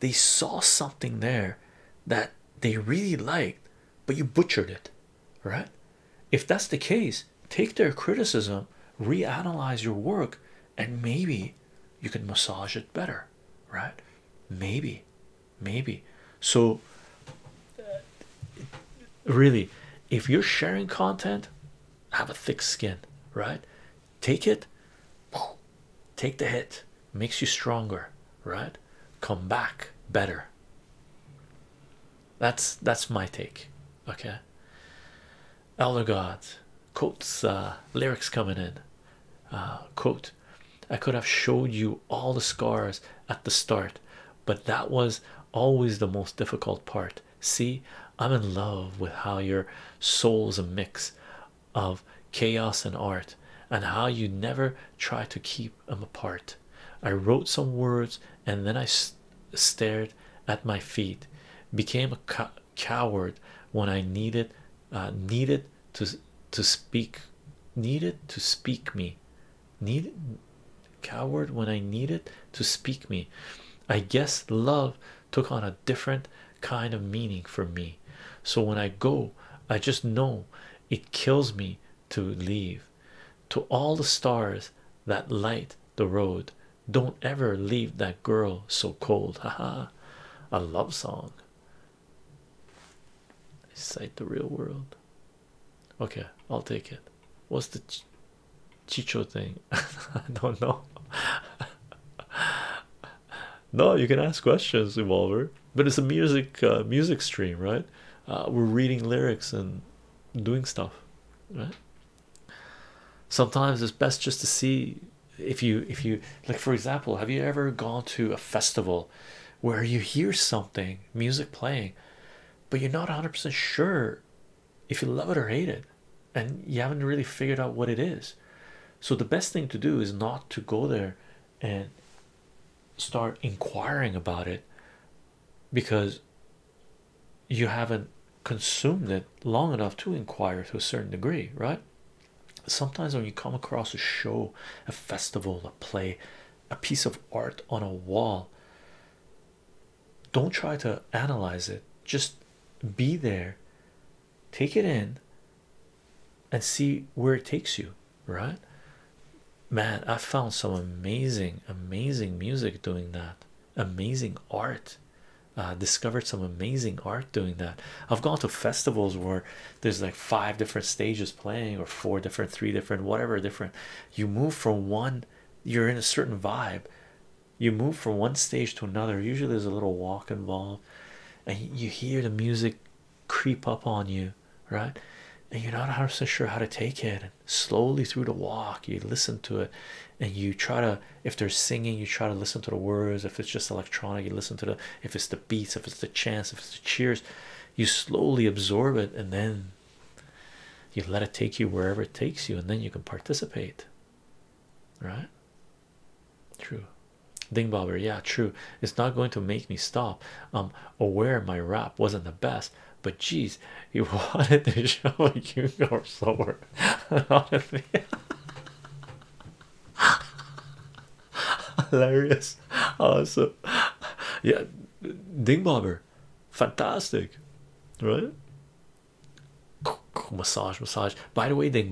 they saw something there that they really liked but you butchered it right if that's the case take their criticism reanalyze your work and maybe you can massage it better right maybe maybe so really if you're sharing content have a thick skin right take it take the hit makes you stronger right come back better that's that's my take okay elder Gods quotes uh, lyrics coming in uh, quote I could have showed you all the scars at the start, but that was always the most difficult part. See, I'm in love with how your soul's a mix of chaos and art, and how you never try to keep them apart. I wrote some words and then I stared at my feet, became a coward when I needed uh, needed to to speak needed to speak me needed coward when I needed to speak me I guess love took on a different kind of meaning for me so when I go I just know it kills me to leave to all the stars that light the road don't ever leave that girl so cold Ha ha, a love song Cite the real world. Okay, I'll take it. What's the Chicho thing? I don't know. no, you can ask questions, Evolver. But it's a music uh, music stream, right? Uh, we're reading lyrics and doing stuff, right? Sometimes it's best just to see if you if you like. For example, have you ever gone to a festival where you hear something music playing but you're not 100% sure if you love it or hate it and you haven't really figured out what it is so the best thing to do is not to go there and start inquiring about it because you haven't consumed it long enough to inquire to a certain degree right sometimes when you come across a show, a festival, a play, a piece of art on a wall, don't try to analyze it, just be there, take it in, and see where it takes you, right? Man, I found some amazing, amazing music doing that, amazing art. discovered some amazing art doing that. I've gone to festivals where there's like five different stages playing or four different three different whatever different you move from one you're in a certain vibe you move from one stage to another usually there's a little walk involved and you hear the music creep up on you right and you're not 100 sure how to take it and slowly through the walk you listen to it and you try to if they're singing you try to listen to the words if it's just electronic you listen to the if it's the beats, if it's the chants, if it's the cheers, you slowly absorb it and then you let it take you wherever it takes you, and then you can participate. Right? True. Ding bobber, yeah, true. It's not going to make me stop. I'm aware my rap wasn't the best, but geez, you wanted to show like you go slower. hilarious awesome yeah ding fantastic right massage massage by the way ding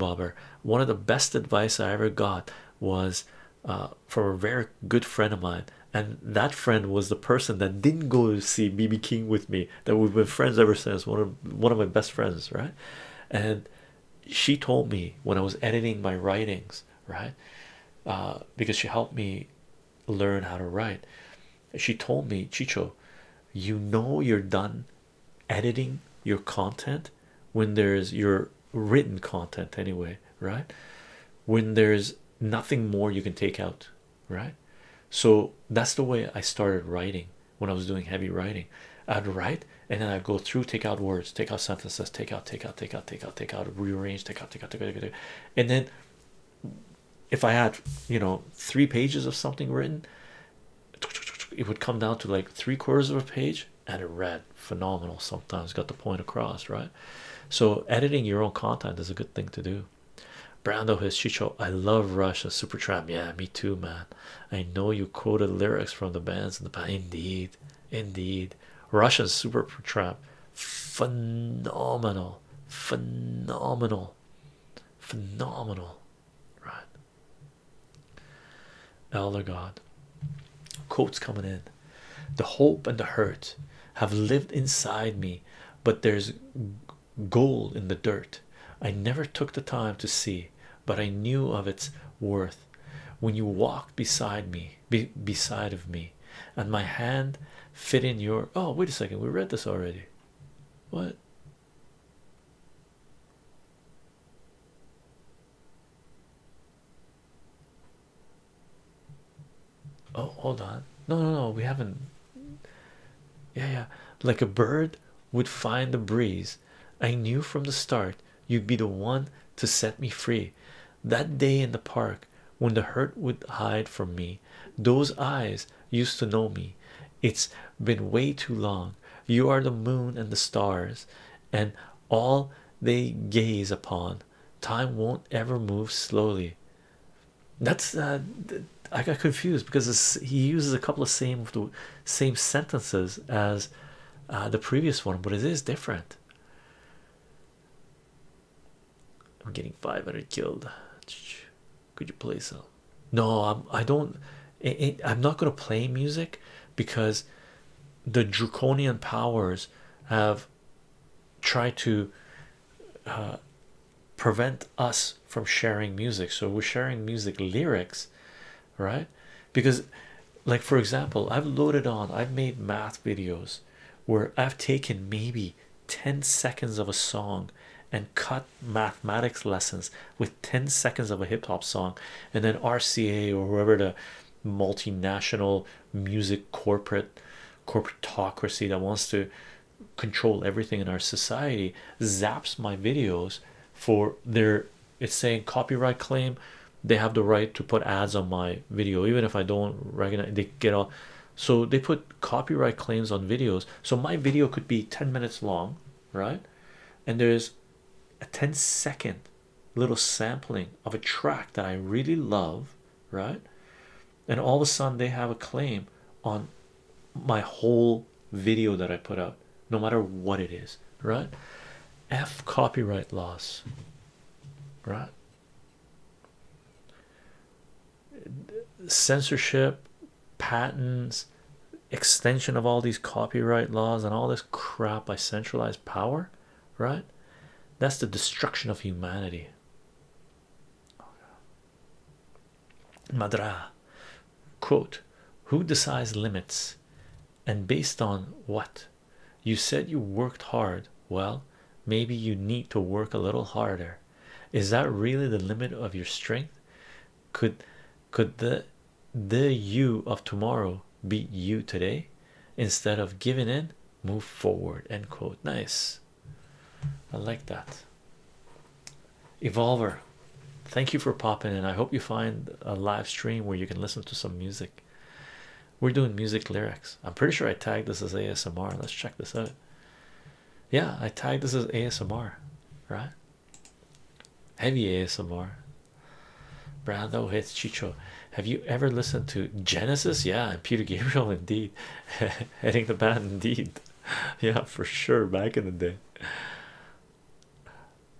one of the best advice i ever got was uh, from a very good friend of mine and that friend was the person that didn't go to see bb king with me that we've been friends ever since one of one of my best friends right and she told me when i was editing my writings right uh, because she helped me learn how to write she told me chicho you know you're done editing your content when there's your written content anyway right when there's nothing more you can take out right so that's the way i started writing when i was doing heavy writing i'd write and then I go through, take out words, take out sentences, take out, take out, take out, take out, take out, rearrange, take out, take out, take out, take out. and then if I had you know three pages of something written, it would come down to like three quarters of a page, and it read phenomenal. Sometimes got the point across, right? So editing your own content is a good thing to do. Brando his Chicho, I love Russia, and Supertramp. Yeah, me too, man. I know you quoted lyrics from the bands in Indeed, Indeed, Russian Super trap, phenomenal, phenomenal, phenomenal, right? Elder God, quotes coming in. The hope and the hurt have lived inside me, but there's gold in the dirt. I never took the time to see, but I knew of its worth. When you walked beside me, be beside of me and my hand fit in your oh wait a second we read this already what oh hold on no no no we haven't yeah yeah like a bird would find the breeze I knew from the start You'd be the one to set me free. That day in the park, when the hurt would hide from me, those eyes used to know me. It's been way too long. You are the moon and the stars, and all they gaze upon. Time won't ever move slowly. That's uh, I got confused because he uses a couple of same the same sentences as uh, the previous one, but it is different. I'm getting 500 killed. Could you play some? Uh, no, I'm, I don't. I'm not gonna play music because the draconian powers have tried to uh, prevent us from sharing music. So we're sharing music lyrics, right? Because like for example i've loaded on i've made math videos where i've taken maybe 10 seconds of a song and cut mathematics lessons with 10 seconds of a hip-hop song and then rca or whoever the multinational music corporate corporatocracy that wants to control everything in our society zaps my videos for their it's saying copyright claim they have the right to put ads on my video even if i don't recognize they get all so they put copyright claims on videos so my video could be 10 minutes long right and there's a 10 second little sampling of a track that i really love right and all of a sudden they have a claim on my whole video that i put out no matter what it is right f copyright loss right? Censorship, patents, extension of all these copyright laws, and all this crap by centralized power, right? That's the destruction of humanity. Madra, quote, who decides limits and based on what? You said you worked hard. Well, maybe you need to work a little harder. Is that really the limit of your strength? Could could the the you of tomorrow beat you today? Instead of giving in, move forward. End quote. Nice. I like that. Evolver, thank you for popping in. I hope you find a live stream where you can listen to some music. We're doing music lyrics. I'm pretty sure I tagged this as ASMR. Let's check this out. Yeah, I tagged this as ASMR, right? Heavy ASMR. Brando hits Chicho. Have you ever listened to Genesis? Yeah, Peter Gabriel indeed. Heading the band indeed. yeah, for sure. Back in the day.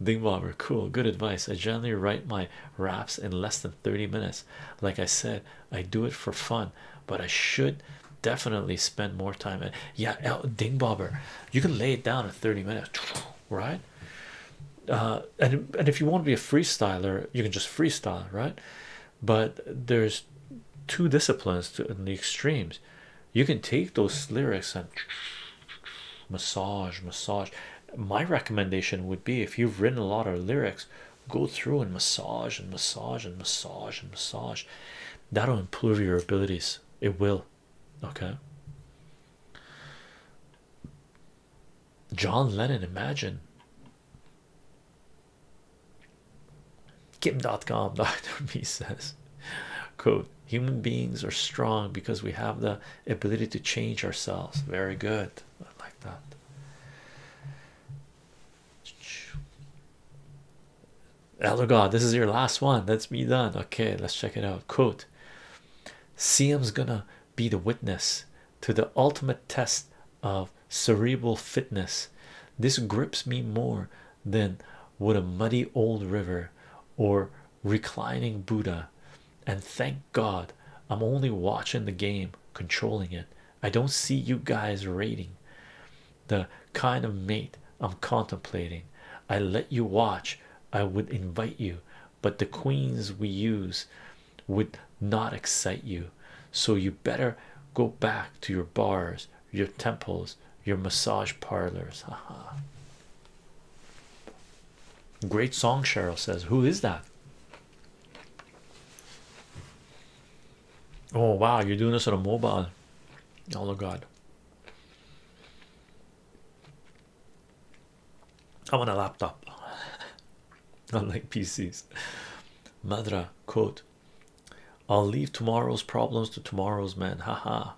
Ding bobber, cool, good advice. I generally write my Wraps in less than 30 minutes. Like I said, I do it for fun, but I should definitely spend more time. And yeah, Ding Bobber, you can lay it down in 30 minutes, right? Uh, and, and if you want to be a freestyler, you can just freestyle, right? But there's two disciplines in the extremes. You can take those lyrics and massage, massage, my recommendation would be if you've written a lot of lyrics go through and massage and massage and massage and massage that'll improve your abilities it will okay John Lennon imagine Kim.com Dr. Me says quote human beings are strong because we have the ability to change ourselves very good like that. Elder God, this is your last one. Let's be done. Okay, let's check it out. Quote CM's gonna be the witness to the ultimate test of cerebral fitness. This grips me more than would a muddy old river or reclining Buddha and thank God I'm only watching the game, controlling it. I don't see you guys raiding. the kind of mate I'm contemplating. I let you watch, I would invite you, but the queens we use would not excite you. So you better go back to your bars, your temples, your massage parlors. Ha ha. Great song, Cheryl says. Who is that? Oh wow, you're doing this on a mobile. Oh my god. I'm on a laptop. like PCs. Madra quote. I'll leave tomorrow's problems to tomorrow's men. ha.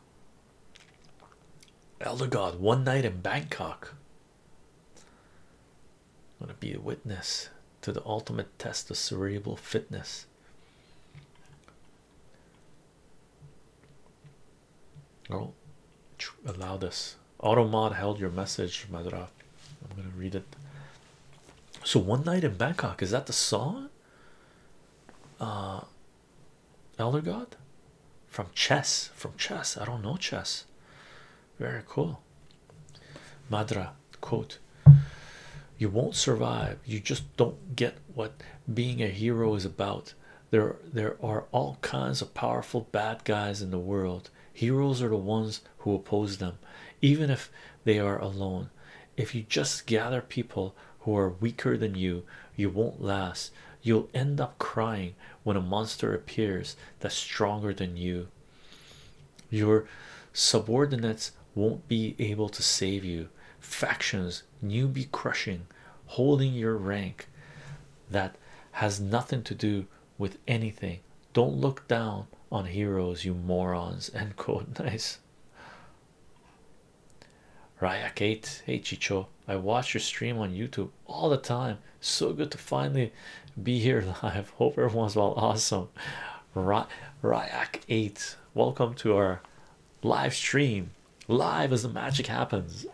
Elder God, one night in Bangkok. I'm gonna be a witness to the ultimate test of cerebral fitness. Oh, allow this. Automod held your message, Madra. I'm gonna read it. So, one night in Bangkok, is that the song? Uh, Elder God, from chess from chess i don't know chess very cool madra quote you won't survive you just don't get what being a hero is about there there are all kinds of powerful bad guys in the world heroes are the ones who oppose them even if they are alone if you just gather people who are weaker than you you won't last you'll end up crying when a monster appears that's stronger than you. Your subordinates won't be able to save you. Factions, newbie crushing, holding your rank that has nothing to do with anything. Don't look down on heroes, you morons. End quote. Nice. Raya Kate, hey Chicho, I watched your stream on YouTube all the time. So good to finally be here live. Hope everyone's well. Awesome. Ryak 8. Welcome to our live stream. Live as the magic happens.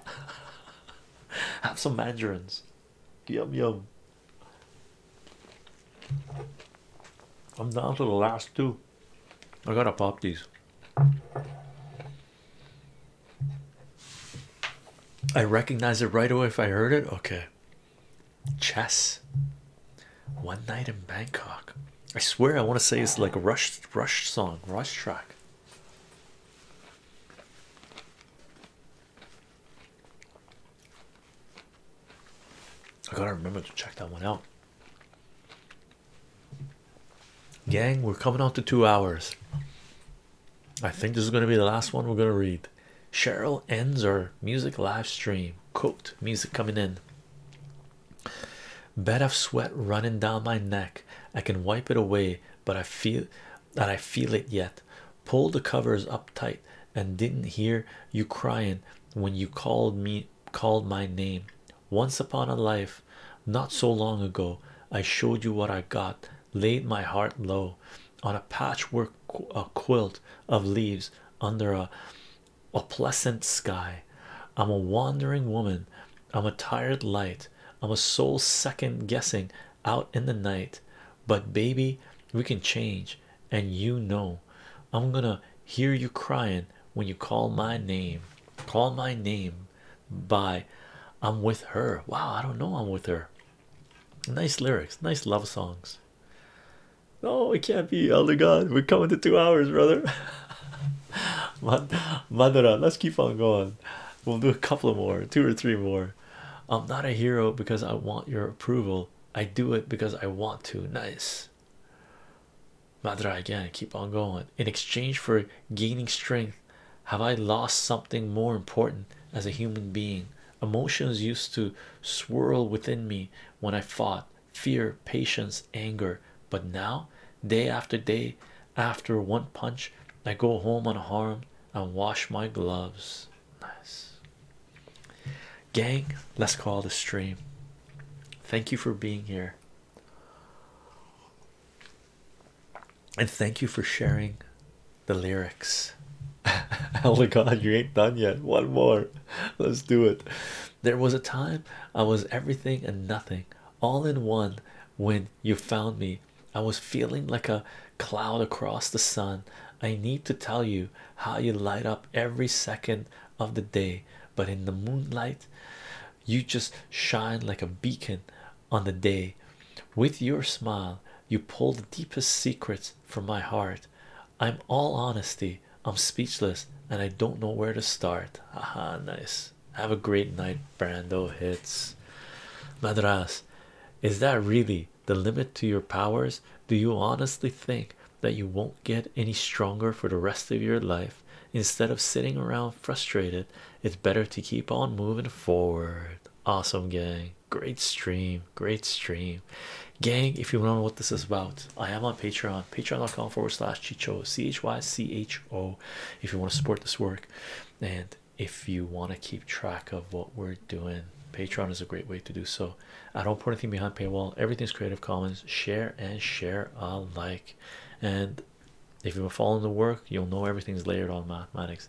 Have some mandarins. Yum yum. I'm down to the last two. I gotta pop these. I recognize it right away if I heard it. Okay, chess. One night in Bangkok. I swear I want to say it's like a rush, rush song, rush track. I gotta remember to check that one out. Gang, we're coming on to two hours. I think this is going to be the last one we're going to read. Cheryl ends our music live stream. Cooked music coming in. Bed of sweat running down my neck. I can wipe it away, but I feel that I feel it yet. Pulled the covers up tight and didn't hear you crying when you called me called my name. Once upon a life, not so long ago, I showed you what I got laid my heart low on a patchwork a quilt of leaves under a a pleasant sky. I'm a wandering woman. I'm a tired light. I'm a soul second guessing out in the night. But baby, we can change, and you know, I'm gonna hear you crying when you call my name. Call my name by I'm with her. Wow, I don't know I'm with her. Nice lyrics, nice love songs. No, oh, it can't be, Elder God. We're coming to two hours, brother. Madra, let's keep on going. We'll do a couple more, two or three more. I'm not a hero because I want your approval. I do it because I want to. Nice. Madra. again, keep on going. In exchange for gaining strength, have I lost something more important as a human being? Emotions used to swirl within me when I fought fear, patience, anger, but now, day after day, after one punch, I go home unharmed and wash my gloves. Nice gang, let's call the stream. Thank you for being here and thank you for sharing the lyrics. oh my god, you ain't done yet. One more, let's do it. There was a time I was everything and nothing all in one when you found me. I was feeling like a cloud across the sun. I need to tell you how you light up every second of the day, but in the moonlight, you just shine like a beacon on the day. With your smile, you pull the deepest secrets from my heart. I'm all honesty, I'm speechless, and I don't know where to start. Aha, nice. Have a great night, Brando. Hits Madras. Is that really the limit to your powers? Do you honestly think that you won't get any stronger for the rest of your life? Instead of sitting around frustrated, it's better to keep on moving forward. Awesome, gang great stream great stream gang if you want to know what this is about i am on patreon patreon.com forward slash chicho c-h-y-c-h-o if you want to support this work and if you want to keep track of what we're doing patreon is a great way to do so i don't put anything behind paywall everything's creative commons share and share alike and if you are following the work you'll know everything's layered on mathematics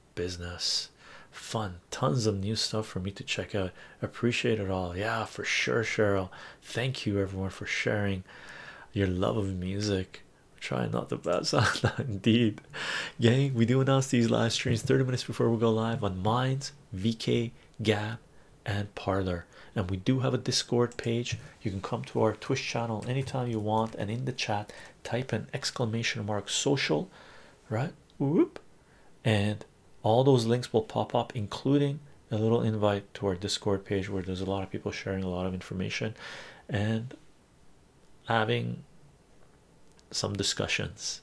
business fun tons of new stuff for me to check out appreciate it all yeah for sure cheryl thank you everyone for sharing your love of music try not to pass out indeed gang we do announce these live streams 30 minutes before we go live on minds vk gab and parlor and we do have a discord page you can come to our twitch channel anytime you want and in the chat type an exclamation mark social right whoop and all those links will pop up including a little invite to our discord page where there's a lot of people sharing a lot of information and having some discussions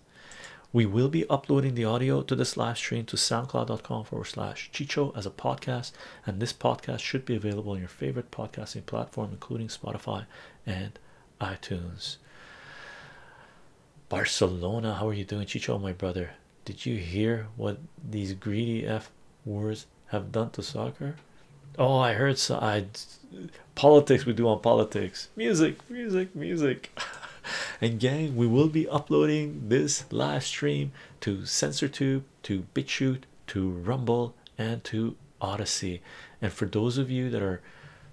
we will be uploading the audio to this live stream to soundcloud.com forward slash chicho as a podcast and this podcast should be available on your favorite podcasting platform including spotify and iTunes. Barcelona, how are you doing, Chicho? My brother, did you hear what these greedy F words have done to soccer? Oh, I heard so. I politics we do on politics, music, music, music. and gang, we will be uploading this live stream to SensorTube, to BitChute, to Rumble, and to Odyssey. And for those of you that are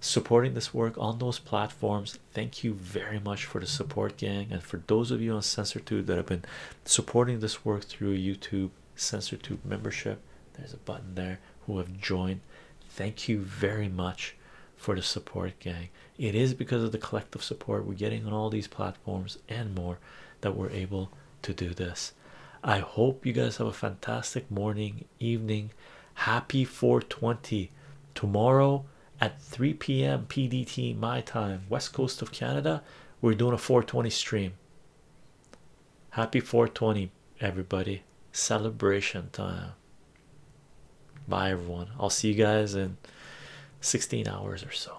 supporting this work on those platforms, thank you very much for the support, gang. And for those of you on Censor2 that have been supporting this work through YouTube Censor2 membership, there's a button there who have joined. Thank you very much for the support, gang. It is because of the collective support we're getting on all these platforms and more that we're able to do this. I hope you guys have a fantastic morning, evening. Happy 420 tomorrow at 3 p.m. PDT, my time, west coast of Canada. We're doing a 420 stream. Happy 420, everybody. Celebration time. Bye, everyone. I'll see you guys in 16 hours or so.